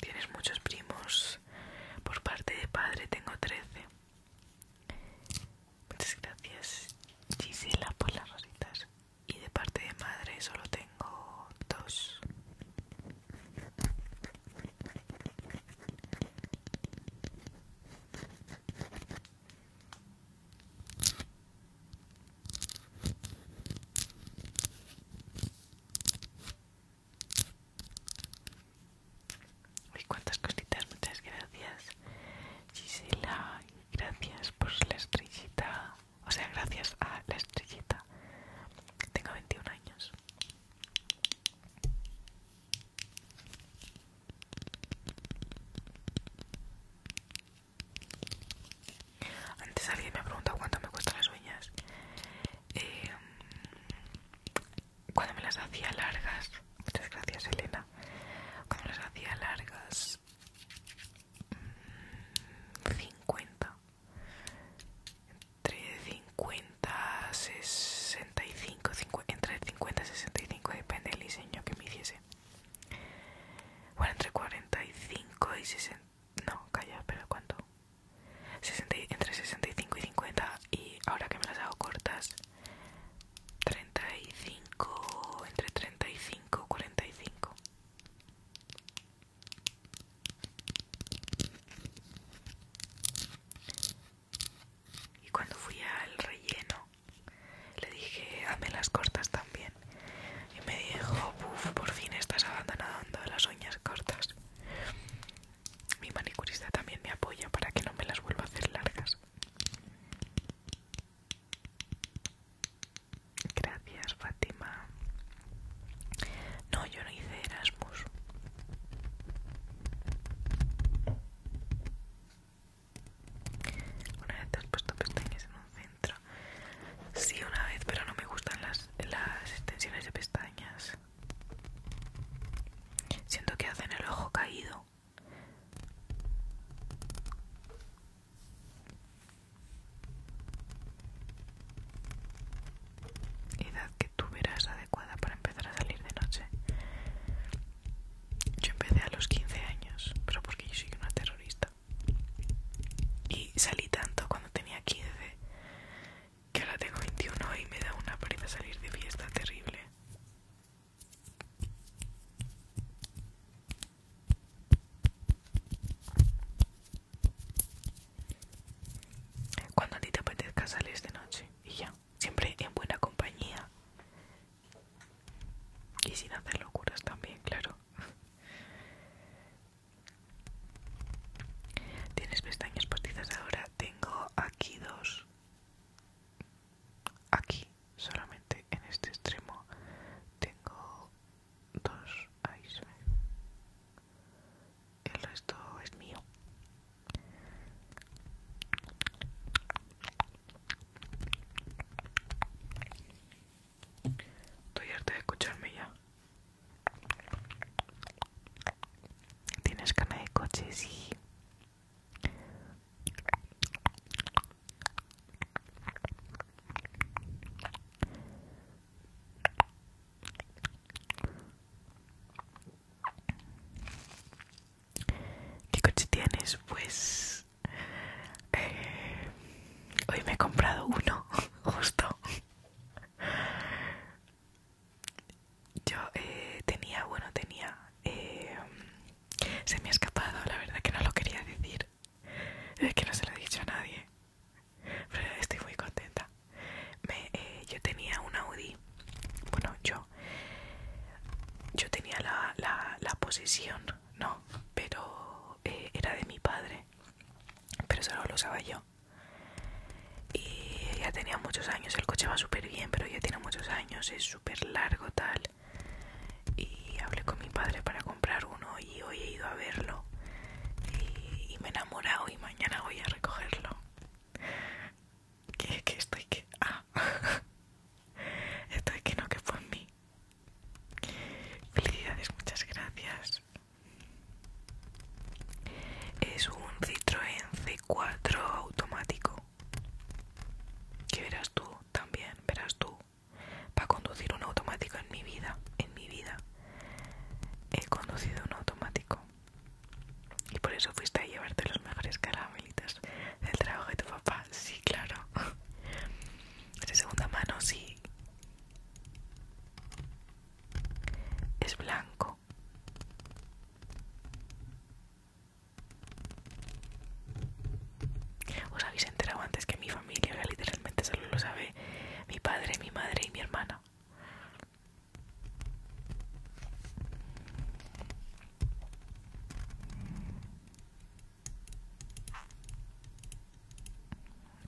[SPEAKER 1] Tienes muchos primos. Por parte de padre tengo 13. Muchas gracias Gisela por las rositas. Y de parte de madre solo tengo dos. Uy, cuántas cositas, muchas gracias. Gisela, gracias por la estrellita. O sea, gracias a la estrellita. Que Tengo 21 años. Antes alguien me ha preguntado cuánto me cuestan las uñas. Eh, cuando me las hacía largas, muchas gracias Elena. Cuando me las hacía largas, 50. Mm, Entre 50 y 65 entre 50 y 65 depende del diseño que me hiciese bueno entre 45 y 60 no calla pero cuánto entre 65 y 50 y ahora que me las hago cortas 35 entre 35 y 45 y cuando fui al relleno le dije, hazme las cortas también. Y me dijo, por fin estás abandonando las uñas cortas. Mi manicurista también me apoya para que no me las vuelva a hacer largas. Gracias, Fátima. No, yo no hice Erasmus. Una vez te has puesto pestañas en un centro. Sí, una vez, pero no me gustan las, las extensiones de pestañas. Siento que hacen el ojo caído. Edad que tú verás adecuada para empezar a salir de noche. Yo empecé a los 15 años, pero porque yo soy una terrorista. Y salí tanto cuando tenía 15 que ahora tengo 21 y me da una pereza salir de fiesta terrible. Cuando a ti te apetezca sales de noche y ya, siempre en buena compañía y sin hacer locuras también, claro. ¿Tienes pestañas postizas ahora? Tengo aquí dos. Aquí, solamente en este extremo, tengo dos. El resto es mío. Estoy harta de escucharme ya. ¿Tienes carne de coche? Sí. ¿Qué coche tienes? Pues eh, hoy me he comprado uno, justo. Yo eh, tenía, bueno, tenía... Eh, se me ha escapado, la verdad que no lo quería decir. Es que no se lo he dicho a nadie. Pero estoy muy contenta. yo tenía un Audi. Bueno, yo yo tenía la, la, la posesión, ¿no? Pero eh, era de mi padre, pero solo lo usaba yo. Y ya tenía muchos años, el coche va súper bien, pero ya tiene muchos años, es súper largo tal. Y hablé con mi padre para comprar uno y hoy he ido a verlo. y me he enamorado y mañana voy a recogerlo que, estoy que... Ah. estoy que no, que fue en mí. Felicidades, muchas gracias. Es un Citroën C4 automático. Que verás tú también, verás tú. Para conducir un automático en mi vida, en mi vida. He conducido un automático. Y por eso fuiste a llevarte los mejores caramelitas. El del trabajo de tu papá, sí, claro. De segunda mano, sí. Es blanco. Os habéis enterado antes que mi familia literalmente solo lo sabe mi padre, mi madre y mi hermana.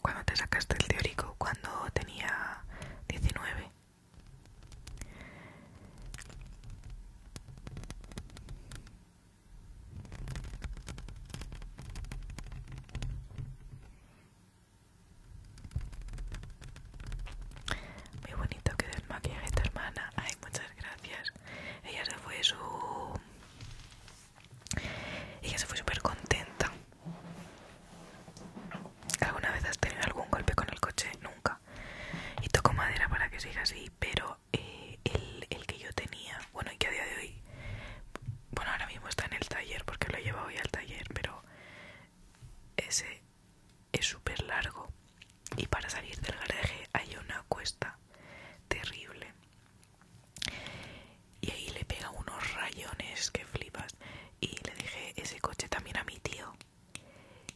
[SPEAKER 1] Cuando te sacaste el teórico, cuando tenía 19. Muy bonito que desmaquilles esta hermana. Ay, muchas gracias ella se fue su ella se fue súper contenta alguna vez has tenido algún golpe con el coche nunca y toco madera para que siga así pero eh, el, el que yo tenía bueno y que a día de hoy bueno ahora mismo está en el taller porque lo he llevado hoy al taller pero ese es súper largo y para salir del garaje hay una cuesta terrible y ahí le pega unos rayones que flipas y le dije ese coche también a mi tío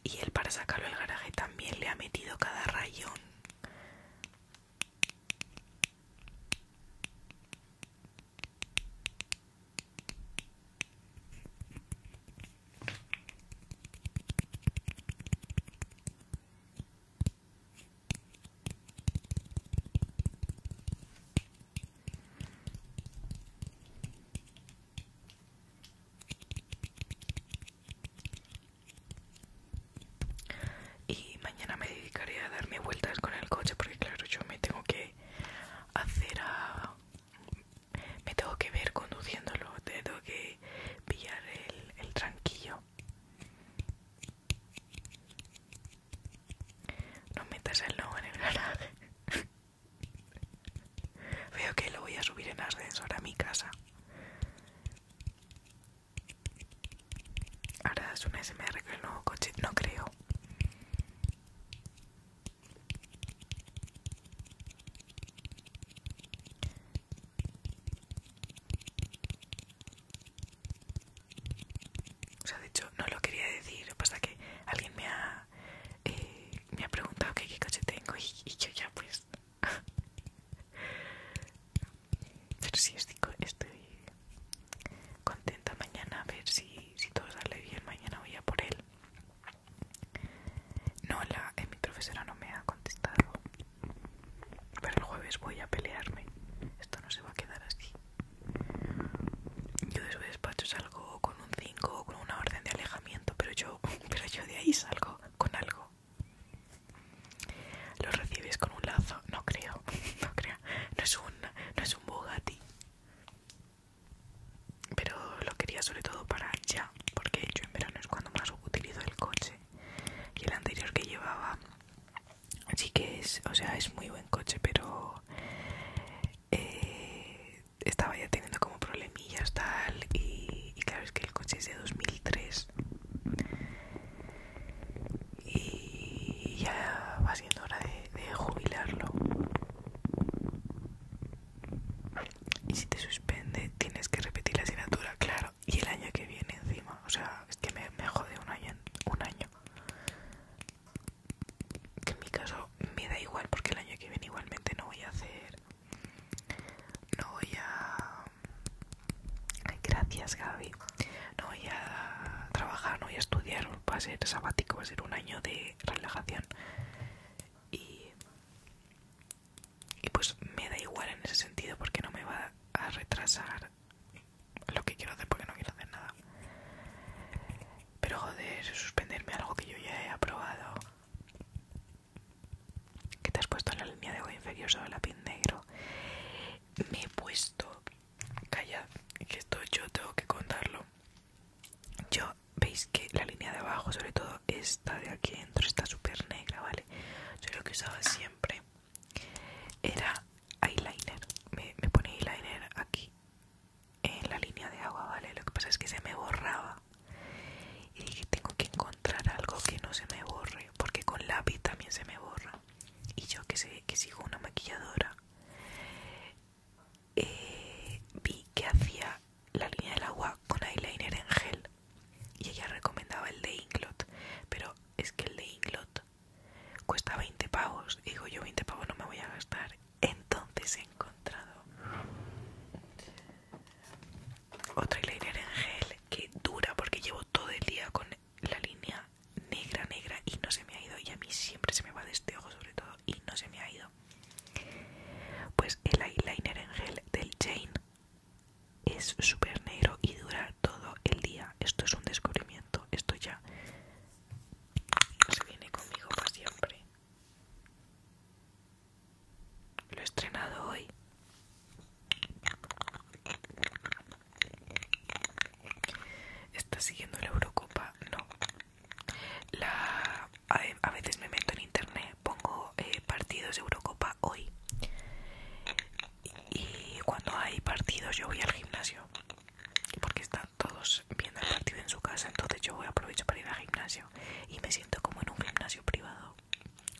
[SPEAKER 1] y él para sacarlo del garaje también le ha metido cada rayón y mañana me dedicaré a darme vueltas con el coche porque claro, yo me tengo que hacer a... me tengo que ver conduciéndolo, tengo que pillar el el, tranquillo. No metas el logo en el garaje. Veo que lo voy a subir en ascensor a mi casa. Ahora es un SMR con el nuevo coche. No creo. O sea, de hecho, no lo quería decir, pasa que alguien me ha, eh, me ha preguntado qué coche tengo y, yo ya pues... Pero sí, estoy, contenta mañana, a ver si, si todo sale bien, mañana voy a por él. No, eh, mi profesora no me ha contestado. Pero el jueves voy a pelearme. Esto no se va a quedar así. Yo de su despacho salgo con un 5 o con una orden de alejamiento, pero yo, pero yo de ahí salgo con algo. Lo recibes con un lazo, no creo, no creo. No es un, no es un Bugatti. Pero lo quería sobre todo para ya, porque yo en verano es cuando más utilizo el coche y el anterior que llevaba Así que es o sea es muy buen coche pero eh, estaba ya teniendo como problemillas tal y, claro es que el coche es de 2003 y ya va siendo hora de jubilarlo y si te suspende tienes que repetir la asignatura claro y el año que viene encima, o sea, es que me, jode un año, un año. en mi caso me da igual porque el año que viene igualmente no voy a hacer... No voy a... Gracias Gaby. No voy a trabajar, no voy a estudiar, va a ser sabático, va a ser un año de relajación. Y y pues me da igual en ese sentido porque no me va a retrasar lo que quiero hacer porque no quiero hacer nada pero joder suspenderme algo que yo ya he aprobado que te has puesto en la línea de agua inferior sobre la pin negro me he puesto calla que esto yo tengo que contarlo yo veis que la línea de abajo sobre todo esta de aquí dentro, está súper negra, ¿vale? Yo lo que usaba siempre era eyeliner. Me, pone ponía eyeliner aquí en la línea de agua, ¿vale? Lo que pasa es que se me borraba. Y dije, tengo que encontrar algo que no se me borre, porque con lápiz también se me borra. Y yo que sé que sigo una maquilladora, eh, vi que hacía la línea del agua con eyeliner en gel y ella recomendaba el de Inglot, pero es que el de Inglot cuesta 20 pavos, y digo yo 20 pavos no me voy a gastar, entonces he encontrado Otro eyeliner en gel que dura porque llevo todo el día con la línea negra negra y no se me ha ido y a mí siempre se me va de este ojo sobre todo y no se me ha ido pues el eyeliner en gel del Jane es súper negro y dura todo el día. Esto es un descubrimiento. Esto ya se viene conmigo para siempre. Lo he estrenado hoy. ¿Estás siguiendo la Eurocopa? No. La... A veces me meto en internet, pongo eh, partidos de Eurocopa hoy y cuando hay partidos yo voy al gimnasio porque están todos viendo el partido en su casa entonces yo voy aprovecho para ir al gimnasio y me siento como en un gimnasio privado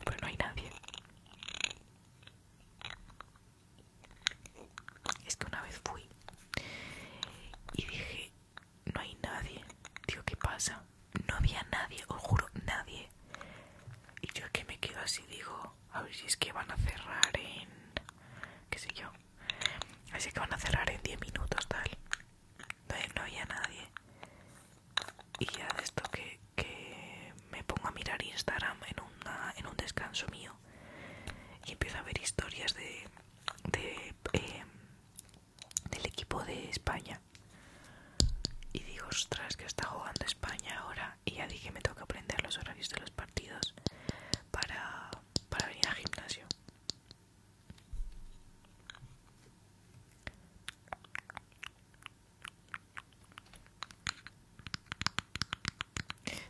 [SPEAKER 1] pero no hay nadie es que una vez fui y dije no hay nadie digo qué pasa no había nadie, os juro, nadie. Y yo es que me quedo así, digo, a ver si es que van a cerrar en... qué sé yo. Así que van a cerrar en 10 minutos, tal. No, había nadie. Y ya de esto que, me pongo a mirar Instagram en, en un descanso mío y empiezo a ver historias de, eh, del equipo de España y digo, ostras, que está jugando España ahora. Y ya dije, me toca aprender los horarios de los partidos para, para venir al gimnasio.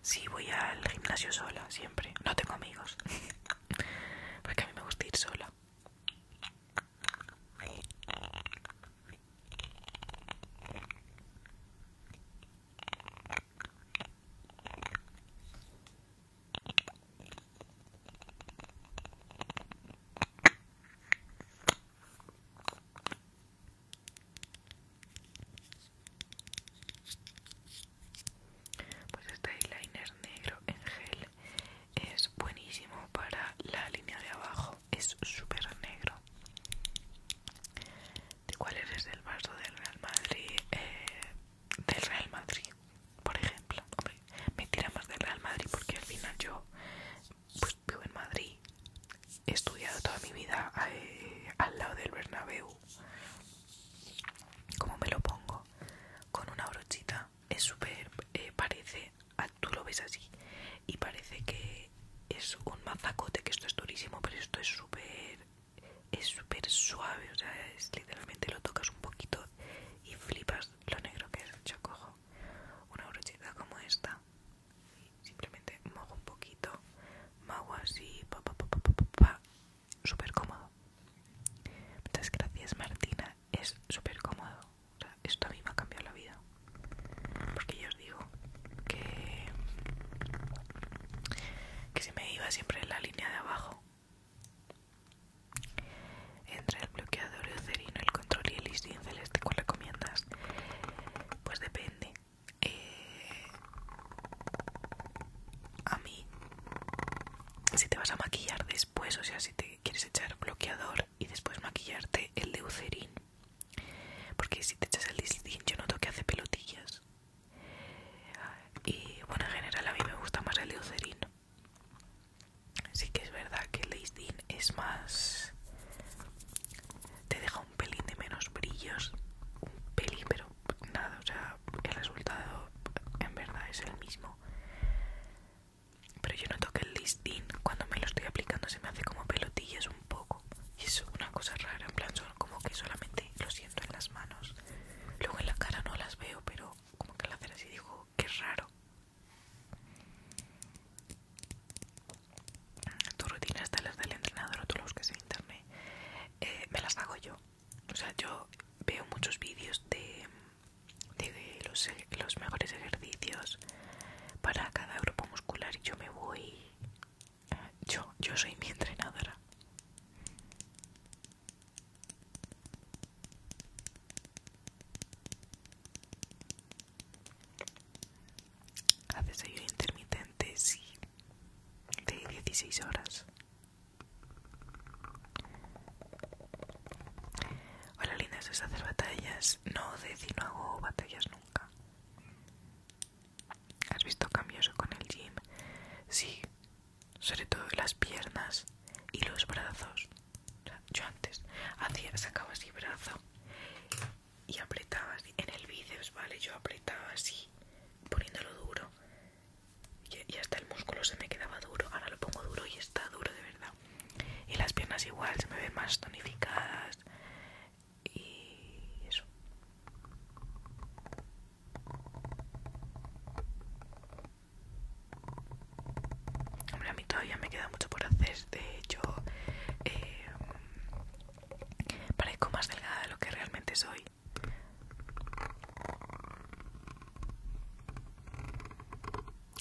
[SPEAKER 1] Sí, voy al gimnasio sola, siempre. No tengo amigos. Porque a mí me gusta ir sola. Pues este eyeliner negro en gel es buenísimo para la línea de abajo es súper negro. ¿De cuál eres del vaso del Real Madrid? Eh, del Real Madrid, por ejemplo. Hombre, me tira más del Real Madrid porque al final yo pues, vivo en Madrid. He estudiado toda mi vida eh, al lado del Bernabéu. ¿Cómo me lo pongo? Con una brochita. Es súper... Eh, parece tú lo ves así y parece que es un mazacote, que esto es durísimo, pero esto es súper es súper suave, o sea, literalmente lo tocas un poquito y flipas lo negro que es. Yo cojo una brochita como esta y simplemente mojo un poquito, mago así, súper cómodo. Muchas gracias Martina es súper cómodo. O sea, esto a mí me ha cambiado la vida. Porque yo os digo que, que se me iba siempre en la línea de abajo. Entre el bloqueador y el control y el listín celeste, ¿cuál recomiendas? Pues depende. Eh, a mí, si te vas a maquillar después, o sea, si te quieres echar bloqueador y después maquillarte el leucerín porque si te echas el leucerín yo noto que hace pelotillas y bueno en general a mí me gusta más el leucerín Así que es verdad que el leucerín es más te deja un pelín de menos brillos un pelín pero nada o sea el resultado en verdad es el mismo pero yo noto que el listín cuando me lo estoy aplicando se me hace como pelotillas un poco y es una cosa rara, en plan son como que solamente lo siento en las manos luego en la cara no las veo pero como que al hacer así digo, qué raro tu rutina está las del entrenador o tú lo busques en internet eh, me las hago yo o sea yo veo muchos vídeos de de los, los mejores ejercicios para cada grupo muscular. y Yo me voy. Eh, yo, yo soy mi entrenadora. Haces ayuno intermitente, sí, de 16 horas. Hola linda, es hacer batallas? No, decir no hago batallas nunca. ¿Has visto cambios con el gym? Sí, sobre todo las piernas y los brazos. yo antes hacía, sacaba así brazo y apretaba así. En el bíceps, ¿vale? Yo apretaba así, poniéndolo duro. y hasta el músculo se me quedaba duro. Ahora lo pongo duro y está duro de verdad y las piernas igual se me ven más tonificadas y eso hombre a mí todavía me queda mucho por hacer de hecho em, parezco más delgada de lo que realmente soy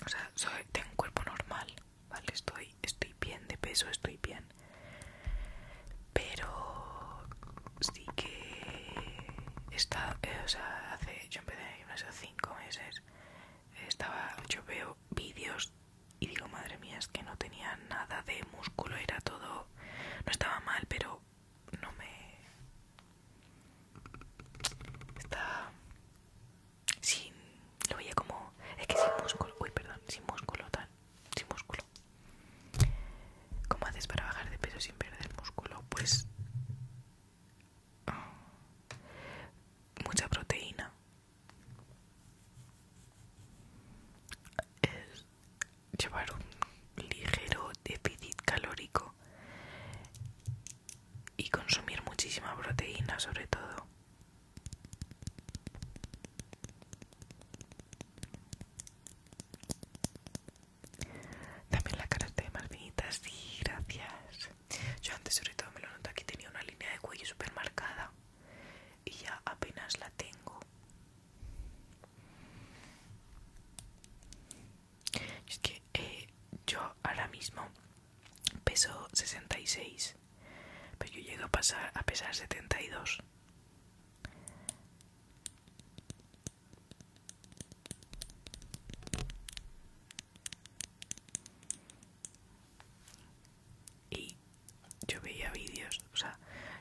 [SPEAKER 1] o sea, soy, tengo un cuerpo normal, ¿vale? Estoy, estoy bien de peso, estoy bien. Pero sí que está, eh, o sea, hace, yo empecé unos cinco meses, estaba, yo veo vídeos y digo, madre mía, es que no tenía nada de músculo, era todo, no estaba mal, pero no me... Está sin lo veía como es que sin músculo uy perdón sin músculo tal sin músculo cómo haces para bajar de peso sin perder músculo pues ah, mucha proteína es llevar un ligero déficit calórico y consumir muchísima proteína sobre todo también la cara de más sí, gracias. Yo antes sobre todo me lo noto aquí tenía una línea de cuello súper marcada y ya apenas la tengo. Es que eh, yo ahora mismo peso 66 pero yo llego a, pasar, a pesar 72. Y yo veía vídeos, o sea,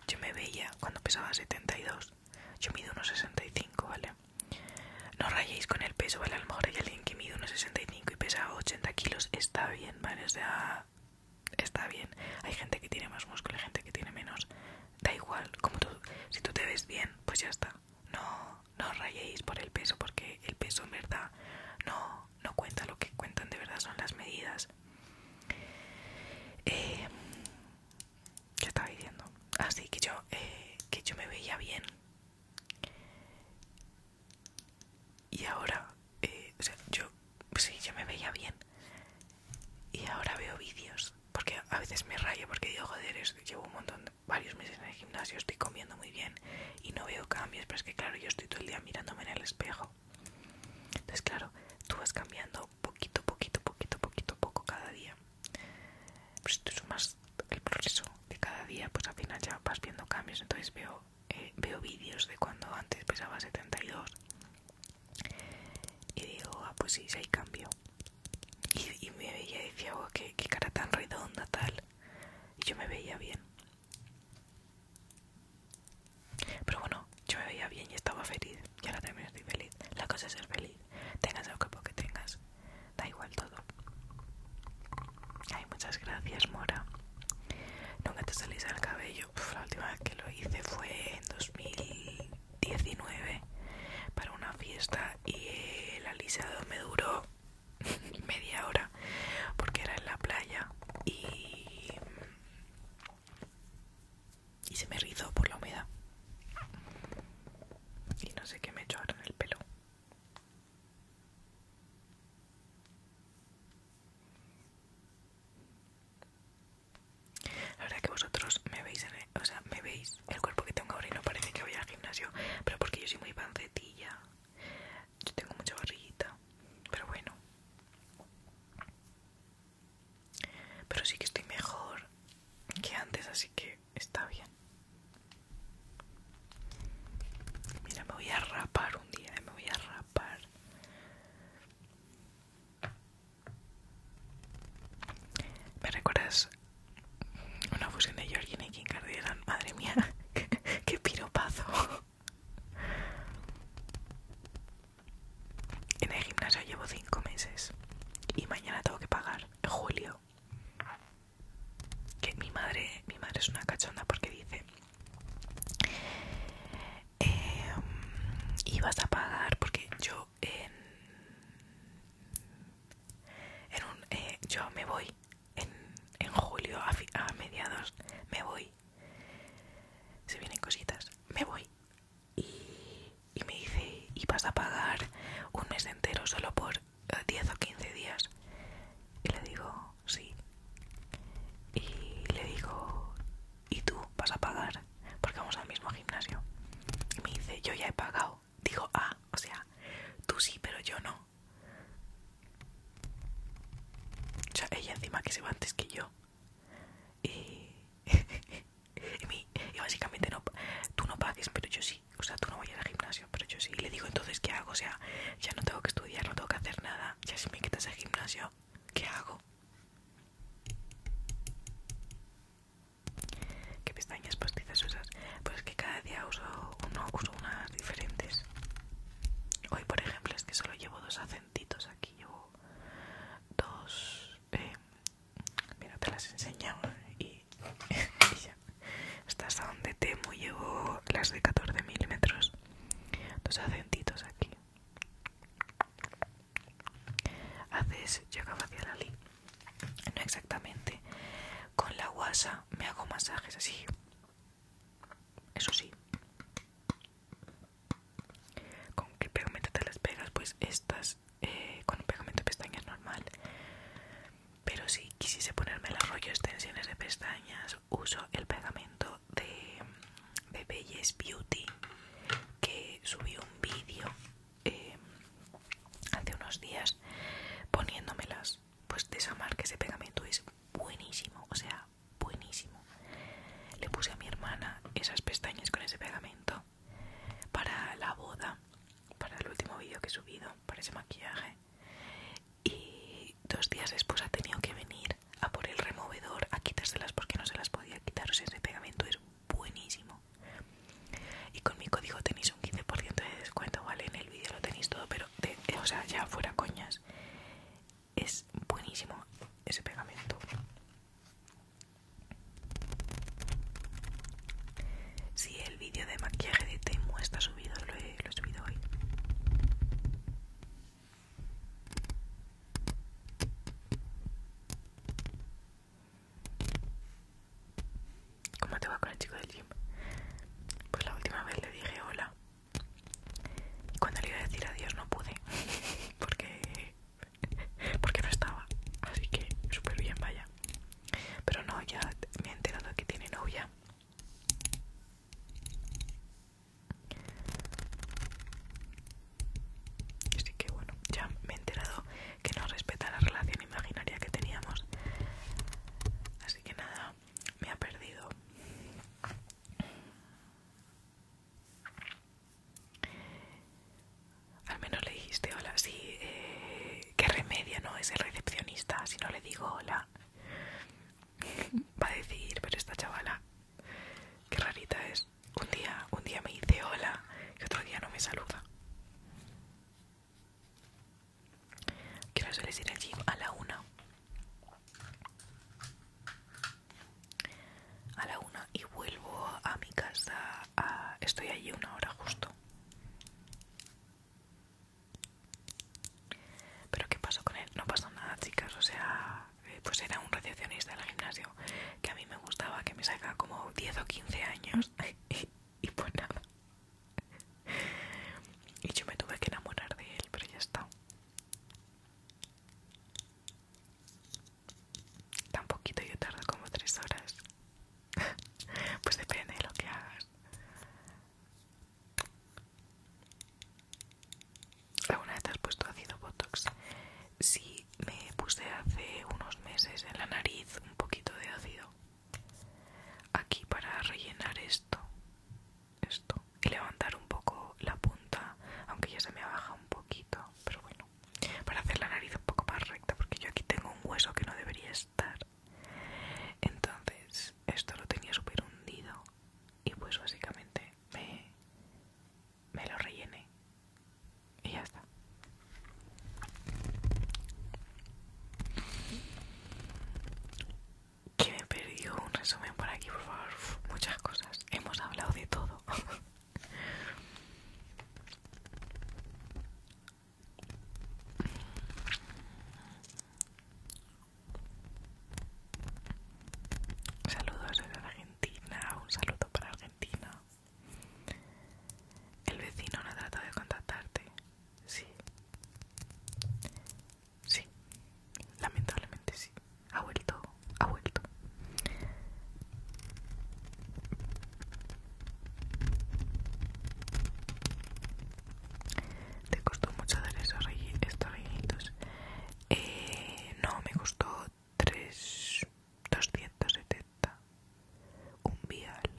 [SPEAKER 1] yo me veía cuando pesaba 72. Yo mido unos 65, ¿vale? No rayéis con el peso, ¿vale? A lo mejor hay alguien que mide unos 65 y pesa 80 kilos está bien, ¿vale? O sea, está bien. Hay gente que tiene más músculo, hay gente que tiene menos. Da igual, como tú, si tú te ves bien, pues ya está. No, no os rayéis por el peso, porque el peso en verdad no, no cuenta. Lo que cuentan de verdad son las medidas. ya eh, ¿Qué estaba diciendo? Así ah, que yo, eh, que yo me veía bien. Y ahora, eh, o sea, yo, sí, yo me veía bien. Y ahora veo vídeos, porque a veces me rayo, porque digo, joder, llevo un montón, varios meses en el gimnasio, estoy comiendo muy bien y no veo cambios, pero es que claro, yo estoy todo el día mirándome en el espejo. Entonces, claro, tú vas cambiando poquito, poquito, poquito, poquito, poco cada día. Pues si tú sumas el proceso de cada día, pues al final ya vas viendo cambios. Entonces veo eh, veo vídeos de cuando antes pesaba 72 y digo, ah, pues sí, si hay cambio. Y, me veía y decía, oh, qué, qué cara tan redonda, tal. Y yo me veía bien. Pero bueno, yo me veía bien y estaba feliz. Y ahora también estoy feliz. La cosa es ser feliz. Tengas el cuerpo que tengas. Da igual todo. Ay, muchas gracias, Mora. Nunca te salís el cabello. la última vez que lo hice fue en 2019 para una fiesta y el alisado me duró media hora porque era en la playa y, y se me rizó por la humedad. Y no sé qué me echó ahora en el pelo. La verdad que vosotros me veis, o sea, me veis el cuerpo que tengo ahora y no parece que voy al gimnasio, pero porque yo soy muy pancetilla, yo tengo mucha barriguita, pero bueno. Pero sí que estoy mejor que antes, así que está bien. Mira, me voy a rapar un día, eh, me voy a rapar. ¿Me recuerdas una fusión de Georgina y Kim Kardashian? Madre mía, qué piropazo. En el gimnasio llevo cinco meses y mañana tengo que pagar en julio. Que mi madre, mi madre es una cachonda porque dice y eh, vas a pagar porque yo en, un, eh, yo me voy en, julio a, mediados me voy se vienen cositas me voy y, y me dice y vas a pagar un mes entero solo por 10 eh, o 15 días y le digo sí. Y le digo, ¿y tú vas a pagar? Porque vamos al mismo gimnasio. Y me dice, yo ya he pagado. Digo, ah, o sea, tú sí, pero yo no. O sea, ella encima que se va antes que yo. Y, básicamente no, tú no pagues, pero yo sí. O sea, tú no vayas al gimnasio, pero yo sí. Y le digo, entonces, ¿qué hago? O sea, ya no tengo que estudiar, no tengo que hacer nada. Ya si me quitas el gimnasio, ¿qué hago? ¿Qué pestañas postizas usas? Pues que cada día uso, Unos, unas diferentes. Hoy, por ejemplo, es que solo llevo dos acentitos aquí. Llevo dos. Eh, mira, te las enseño y, y ya. Estas son de temo Llevo las de 14 milímetros dos acentitos aquí haces yoga facial ali no exactamente con la guasa me hago masajes así eso sí con qué pegamento te las pegas pues estas eh, con un pegamento de pestañas normal pero si quisiese ponerme los rollo Extensiones de pestañas uso el pegamento de, de Belles Beauty que subí un vídeo eh, hace unos días poniéndomelas pues de esa marca ese pegamento es buenísimo o sea buenísimo le puse a mi hermana esas pestañas con ese pegamento para la boda para el último vídeo que he subido para ese maquillaje y dos días después ha tenido que venir a por el removedor a quitárselas porque no se las podía quitar. O sea, ese pegamento es buenísimo. Y con mi código tenéis un 15% de descuento, ¿vale? En el vídeo lo tenéis todo, pero, eh, o sea, ya fuera coñas. Es buenísimo ese pegamento. Si el vídeo de maquillaje de Temu está subido, lo he subido hoy. ¿Cómo te va con el chico del gym? Pues la última vez le dije hola. Y cuando le iba a decir adiós no pude. Porque, porque no estaba. Así que súper bien, vaya. Pero no, ya me he enterado que tiene novia. Así que bueno, ya me he enterado que no respeta la relación imaginaria que teníamos. Así que nada, me ha perdido. Al menos le dijiste hola, sí, eh, qué remedio, ¿no? Es el recepcionista, si no le digo hola va a decir, pero esta chavala, qué rarita es. Un día, un día me dice hola y otro día no me saluda. Quiero hacerles ir al gym? A la una. A la una y vuelvo a mi casa. Estoy allí una hora justo. Pero ¿qué pasó con él? No pasó nada, chicas. O sea, eh, pues era un recepcionista del gimnasio que a mí me gustaba, que me saca como 10 o 15 años. y, pues nada. Y yo me tuve que enamorar de él, pero ya está. Tan poquito yo tardo como 3 horas. pues depende de lo que hagas. ¿Alguna vez has puesto ácido Botox? Sí, me puse hace unos meses en la nariz un poquito de ácido. Aquí para rellenar esto. Esto. Y levantar un poco la punta, aunque ya se me baja un poquito. Pero bueno, para hacer la nariz un poco más recta, porque yo aquí tengo un hueso que no debería estar. Entonces, esto lo tenía súper hundido y pues básicamente me, me lo rellené y ya está. Que me perdió un resumen por aquí, por favor. muchas cosas. Hemos hablado de todo. Saludos desde Argentina, un saludo para Argentina. El vecino no ha tratado de contactarte. Sí. Sí. Lamentablemente sí. Ha vuelto. Ha vuelto. ¿Te costó mucho dar esos estos eh, no, me costó 3.270 un vial.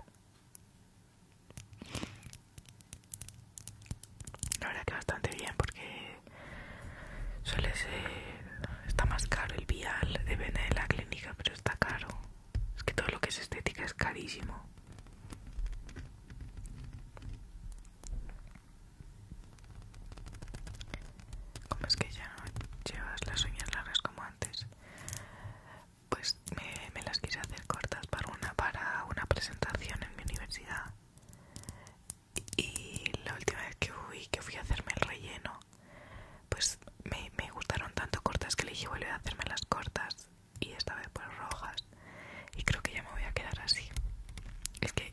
[SPEAKER 1] La verdad que bastante bien porque suele ser... Está más caro el vial, depende de la clínica, pero está caro. Es que todo lo que es estética es carísimo. Como es que ya no llevas las uñas largas como antes, pues me, las quise hacer cortas para una, para una presentación en mi universidad. Y la última vez que fui, que fui a hacerme el relleno, pues me, gustaron tanto cortas que le dije volver a hacerme las cortas y esta vez pues rojas y creo que ya me voy a quedar así. Es que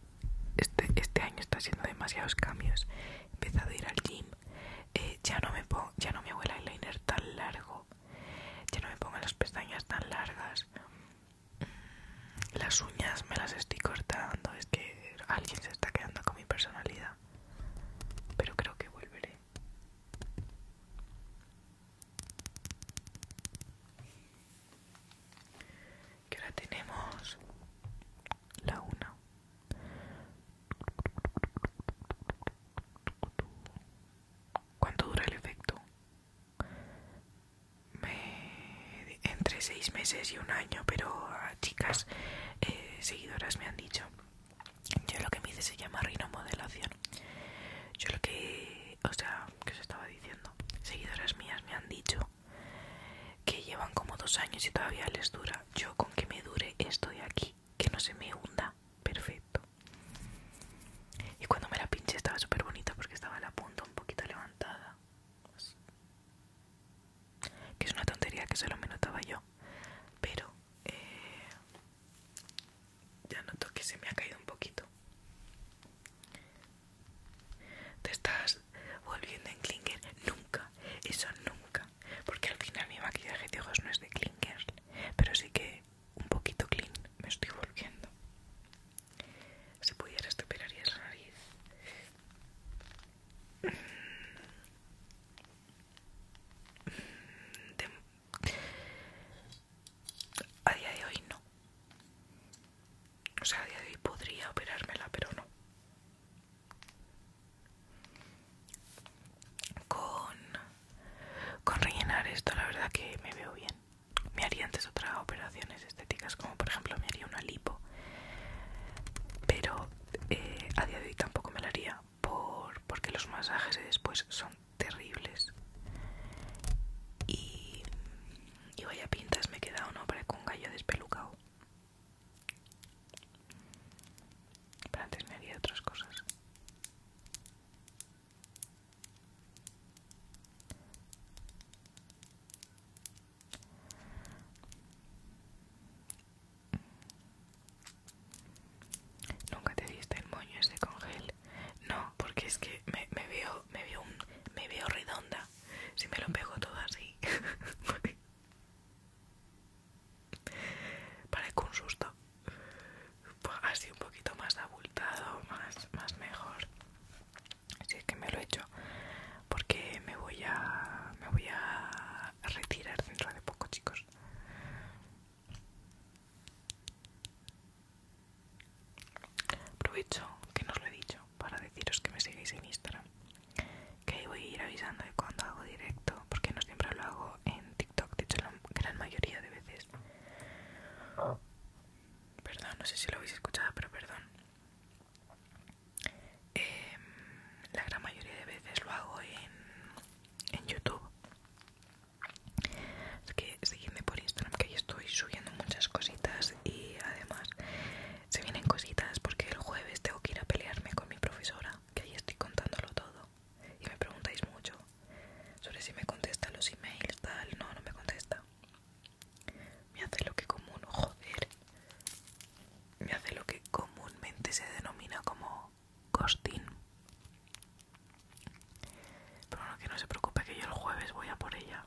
[SPEAKER 1] este, este año está haciendo demasiados cambios. He empezado a ir al gym, eh, ya no me pongo, ya no mi abuela el eyeliner tan largo, ya no me pongo las pestañas tan largas. Mm, las uñas me las estoy cortando, es que alguien se está quedando con mi personalidad. Pero creo que volveré que ahora tenemos la una ¿Cuánto dura el efecto? Entre seis meses y un año, pero a ah, chicas eh, seguidoras me han dicho. Yo lo que me hice se llama rinomodelación. Yo lo que, o sea, que os estaba diciendo. Seguidoras mías me han dicho que llevan como dos años y todavía les dura. Yo con que me dure esto de aquí, que no se me hunda, perfecto. Y cuando me la pinché estaba súper bonita porque estaba la punta un poquito levantada. Que es una tontería que solo me notaba yo. Pero eh, ya noto que se me ha caído un poquito. Te estás volviendo en Klinger. Nunca, eso nunca. Porque al final mi maquillaje de ojos no es de Klinger. Pero sí que un poquito clean me estoy volviendo. Si pudieras te operarías la nariz. Mm. Mm a día de hoy no. O sea, a día de hoy podría operármela, pero no. Con, con rellenar esto, la verdad que me veo bien. Me haría antes otras operaciones estéticas, como por ejemplo me haría una lipo. Pero eh, a día de hoy tampoco me la haría por, porque los masajes después son terribles. Y y vaya pintas me he quedado, ¿no? con un gallo despelucado. Pero antes me haría otras cosas. Nunca te diste el moño ese con gel. No, porque es que me veo me veo, redonda si me lo pego todo así. Parece un susto. Pues, así un poquito más abultado, más, más mejor. Así es que me lo he hecho. Porque me voy a. me voy a retirar dentro de poco, chicos. Aprovecho que no lo he dicho para deciros que me sigáis en Instagram, que voy a ir avisando de cuando hago directo, porque no siempre lo hago en TikTok, de hecho la gran mayoría de veces. Perdón, no sé si lo habéis escuchado, pero perdón. Em, la gran mayoría de veces lo hago en, en YouTube. Así que Seguidme por Instagram que ahí estoy subiendo muchas cositas y además se vienen cositas porque el jueves tengo que ir a pelearme con mi profesora que ahí estoy contándolo todo y me preguntáis mucho sobre si me contesta los emails tal no no me contesta me hace lo que común joder me hace lo que comúnmente se denomina como costín pero bueno que no se preocupe que yo el jueves voy a por ella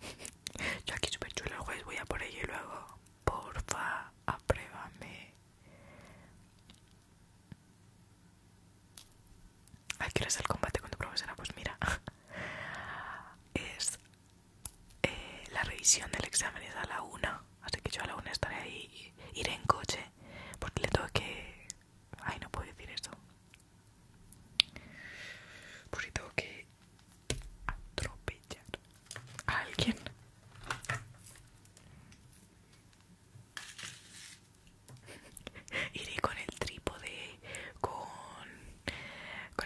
[SPEAKER 1] Yo aquí súper chulo el juez, voy a por ello y luego, porfa, apruébame. ¿A qué es el combate con tu profesora? Pues mira, es eh, la revisión del examen es a la una, así que yo a la una estaré ahí, iré en coche, porque le tengo que... Ay, no puedo decir eso. Por si tengo que atropellar a alguien. Iré con el trípode, con,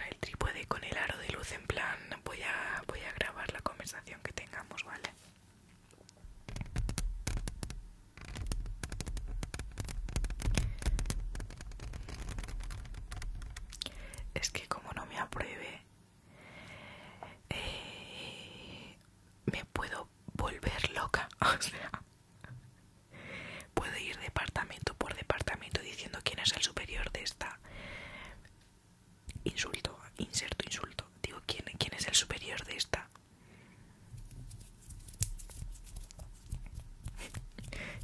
[SPEAKER 1] el trípode, con el aro de luz en plan, voy a, voy a grabar la conversación que tengamos, ¿vale? Es que como no me apruebe, eh, me puedo volver loca. O sea, puedo ir departamento por departamento diciendo quién es el superior de esta. Insulto, inserto, insulto. Digo, quién es el superior de esta?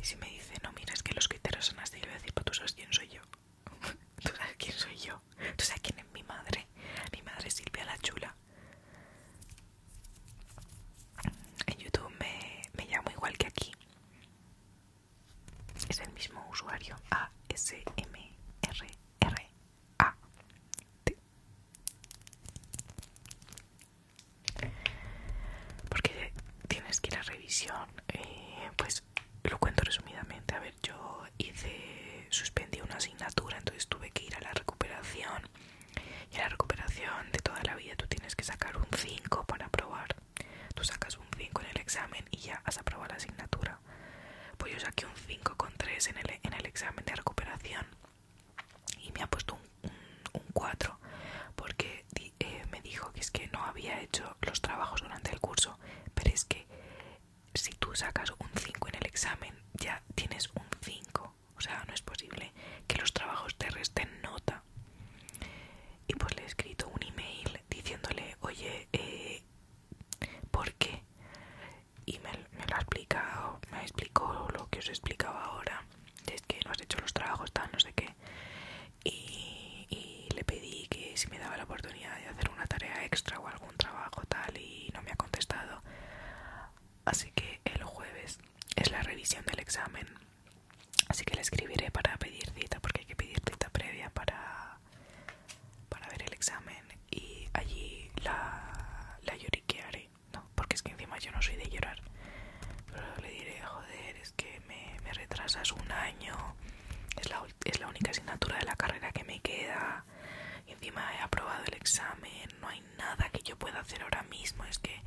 [SPEAKER 1] Y si me dice, no, mira, es que los criterios son así, le voy a decir, pues tú sabes quién soy yo. Tú sabes quién soy yo. Tú sabes quién es mi madre. Mi madre es Silvia la Chula. En YouTube me, me llamo igual que aquí. Es el mismo usuario. A S M R R A T porque tienes que ir a revisión eh, pues lo cuento resumidamente a ver yo hice suspendí una asignatura entonces tuve que ir a la recuperación y a la recuperación de toda la vida tú tienes que sacar un 5 para aprobar tú sacas un 5 en el examen y ya has aprobado la asignatura pues yo saqué un 5 con 3 en el examen de recuperación y me ha puesto un, 4 porque eh, me dijo que es que no había hecho los trabajos durante el curso pero es que si tú sacas un 5 en el examen ya tienes un 5 o sea no es posible que los trabajos te resten nota y pues le he escrito un email diciéndole oye eh, ¿por qué? y me, me lo ha explicado me explicó lo que os explicaba ahora es que no has hecho los trabajos, tal, no sé qué. Y, le pedí que si me daba la oportunidad de hacer una tarea extra o algún trabajo, tal, y no me ha contestado. Así que el jueves es la revisión del examen. Así que le escribiré para pedir cita, porque hay que pedir cita previa para, para ver el examen. Y allí la, la lloriquearé no, porque es que encima yo no soy de llorar. Pero le diré, joder, es que me, me retrasas un año, es la, es la única asignatura de la carrera que me queda, y encima he aprobado el examen, no hay nada que yo pueda hacer ahora mismo, es que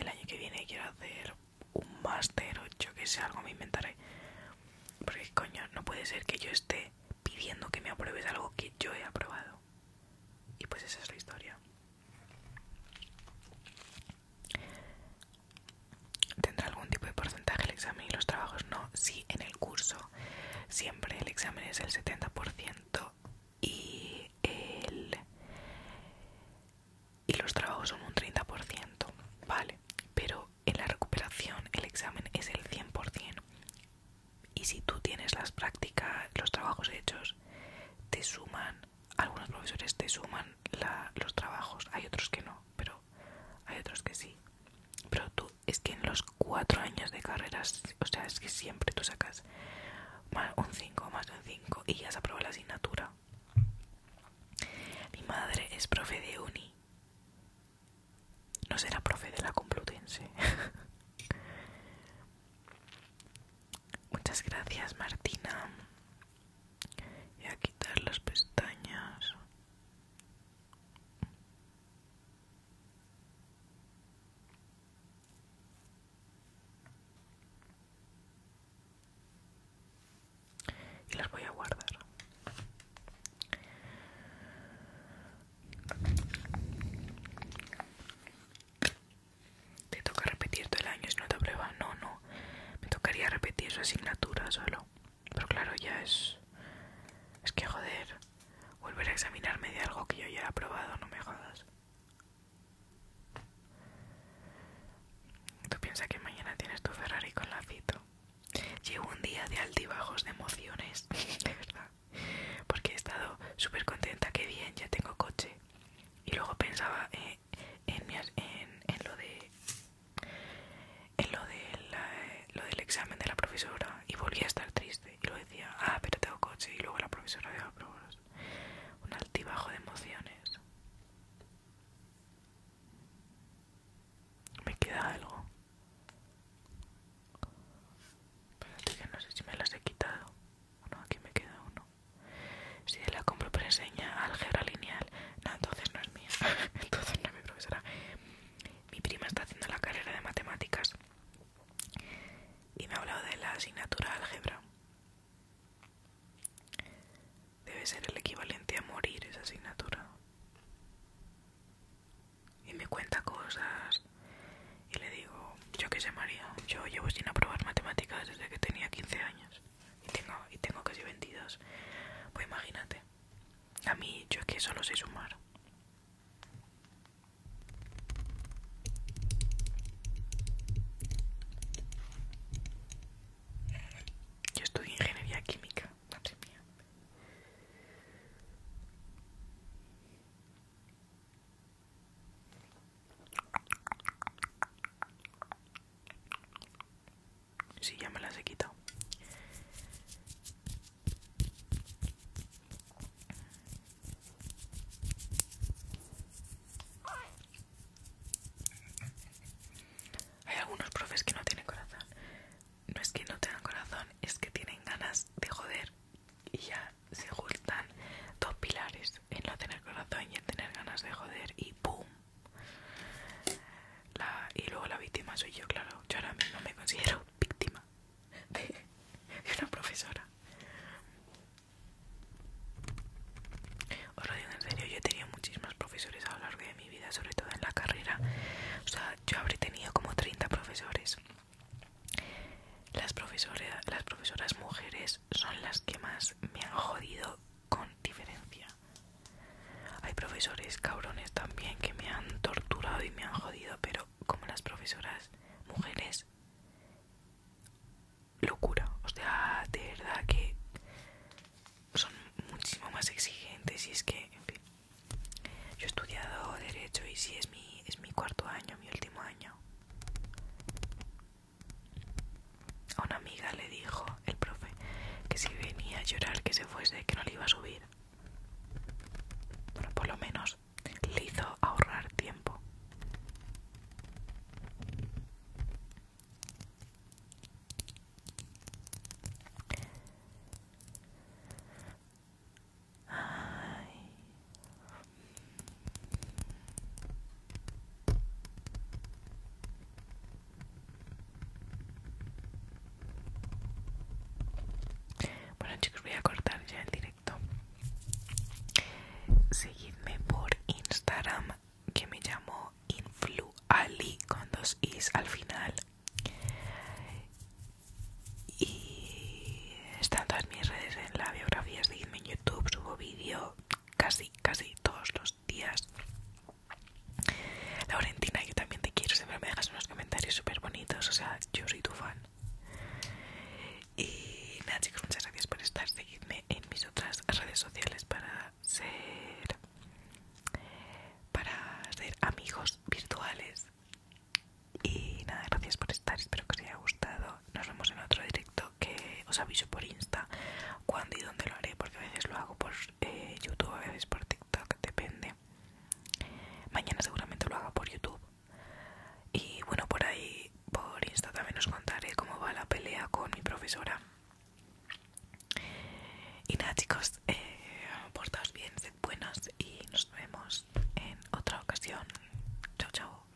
[SPEAKER 1] el año que viene quiero hacer un máster o yo que sé, algo me inventaré. Porque coño, no puede ser que yo esté pidiendo que me apruebes algo que yo he aprobado. Y pues esa es la historia. ¿Tendrá algún tipo de porcentaje el examen y los trabajos? No, sí, en el curso siempre el examen es el 70% y, y los trabajos son un 30%, ¿vale? Pero en la recuperación el examen es el 100%. Y si tú tienes las prácticas, los trabajos hechos, te suman algunos profesores te suman la, los trabajos, hay otros que no, pero hay otros que sí. Pero tú, es que en los cuatro años de carreras, o sea, es que siempre tú sacas más un 5, más de un 5 y ya se aprueba la asignatura. Mi madre es profe de uni. No será profe de la Complutense. Muchas gracias, Martina. voy a quitar las pestañas. Y las voy a guardar. ¿Te toca repetir todo el año no te aprueba, No, no. Me tocaría repetir su asignatura solo. Pero claro, ya es... Es que joder. Volver a examinarme de algo que yo ya he aprobado, no me jodas. Tú piensas que mañana tienes tu Ferrari con la lacito. Llevo un día de altibajos de emociones, de verdad. Porque he estado súper contenta, que bien, ya tengo coche y luego pensaba eh, en, lo de lo, lo del examen de la profesora y volví a estar triste y lo decía ah pero tengo coche y luego la profesora pero un altibajo de emociones me queda algo que no sé si me las he quitado bueno aquí me queda uno si la compro enseña álgebra lineal, no, entonces no es mía, entonces no es mi profesora. Mi prima está haciendo la carrera de matemáticas y me ha hablado de la asignatura álgebra. Debe ser el equivalente a morir esa asignatura. Y me cuenta cosas y le digo, yo qué sé María, yo llevo sin aprobar matemáticas desde que tenía 15 años y tengo, tengo casi 22, pues imagínate, a mí yo es que solo sé sumar. Yo estudio ingeniería química, sé mía sí, ya me las he quitado. Hay algunos profes que no tienen corazón. No es que no tengan corazón, es que tienen ganas de joder y ya se juntan dos pilares, En no tener corazón y en tener ganas de joder y ¡pum! y luego la víctima soy yo, claro. Yo ahora mismo me considero víctima de, una profesora. Os lo digo en serio, yo he tenido muchísimas profesores a lo largo de mi vida, sobre todo en la carrera. O sea, yo habré tenido como 30 profesores. Las, profesoras las profesoras mujeres son las que más me han jodido con diferencia. Hay profesores cabrones también que me han torturado y me han jodido, pero como las profesoras mujeres, locura. O sea, de verdad que son muchísimo más exigentes y es que, en fin, yo he estudiado derecho y si es mi, es mi cuarto año, mi último año. A una amiga le dijo el profe que si venía a llorar que se fuese, que no le iba a subir. Bueno, por lo menos le hizo ahorrar tiempo. Ay. Bueno chicos, voy a cortar ya el directo. Seguidme por Instagram que me llamo Influali con dos is al final. Y están todas mis redes en la biografía, seguidme en YouTube, subo vídeo casi, casi todos los días. Laurentina, yo también te quiero, siempre me dejas unos comentarios súper bonitos, o sea, yo soy tu fan. Y nada chicos, muchas gracias por estar, seguidme en mis otras redes sociales para ser para ser amigos virtuales. Y nada, gracias por estar, espero que os haya gustado nos vemos en otro directo que os aviso por Insta cuándo y dónde lo haré, porque a veces lo hago por eh, YouTube, a veces por TikTok, depende. Mañana seguramente lo haga por YouTube. Y bueno, por ahí, por Insta también os contaré cómo va la pelea con mi profesora. Y nada chicos, eh, portaos bien, sed buenos y nos vemos en otra ocasión. Chao, chao.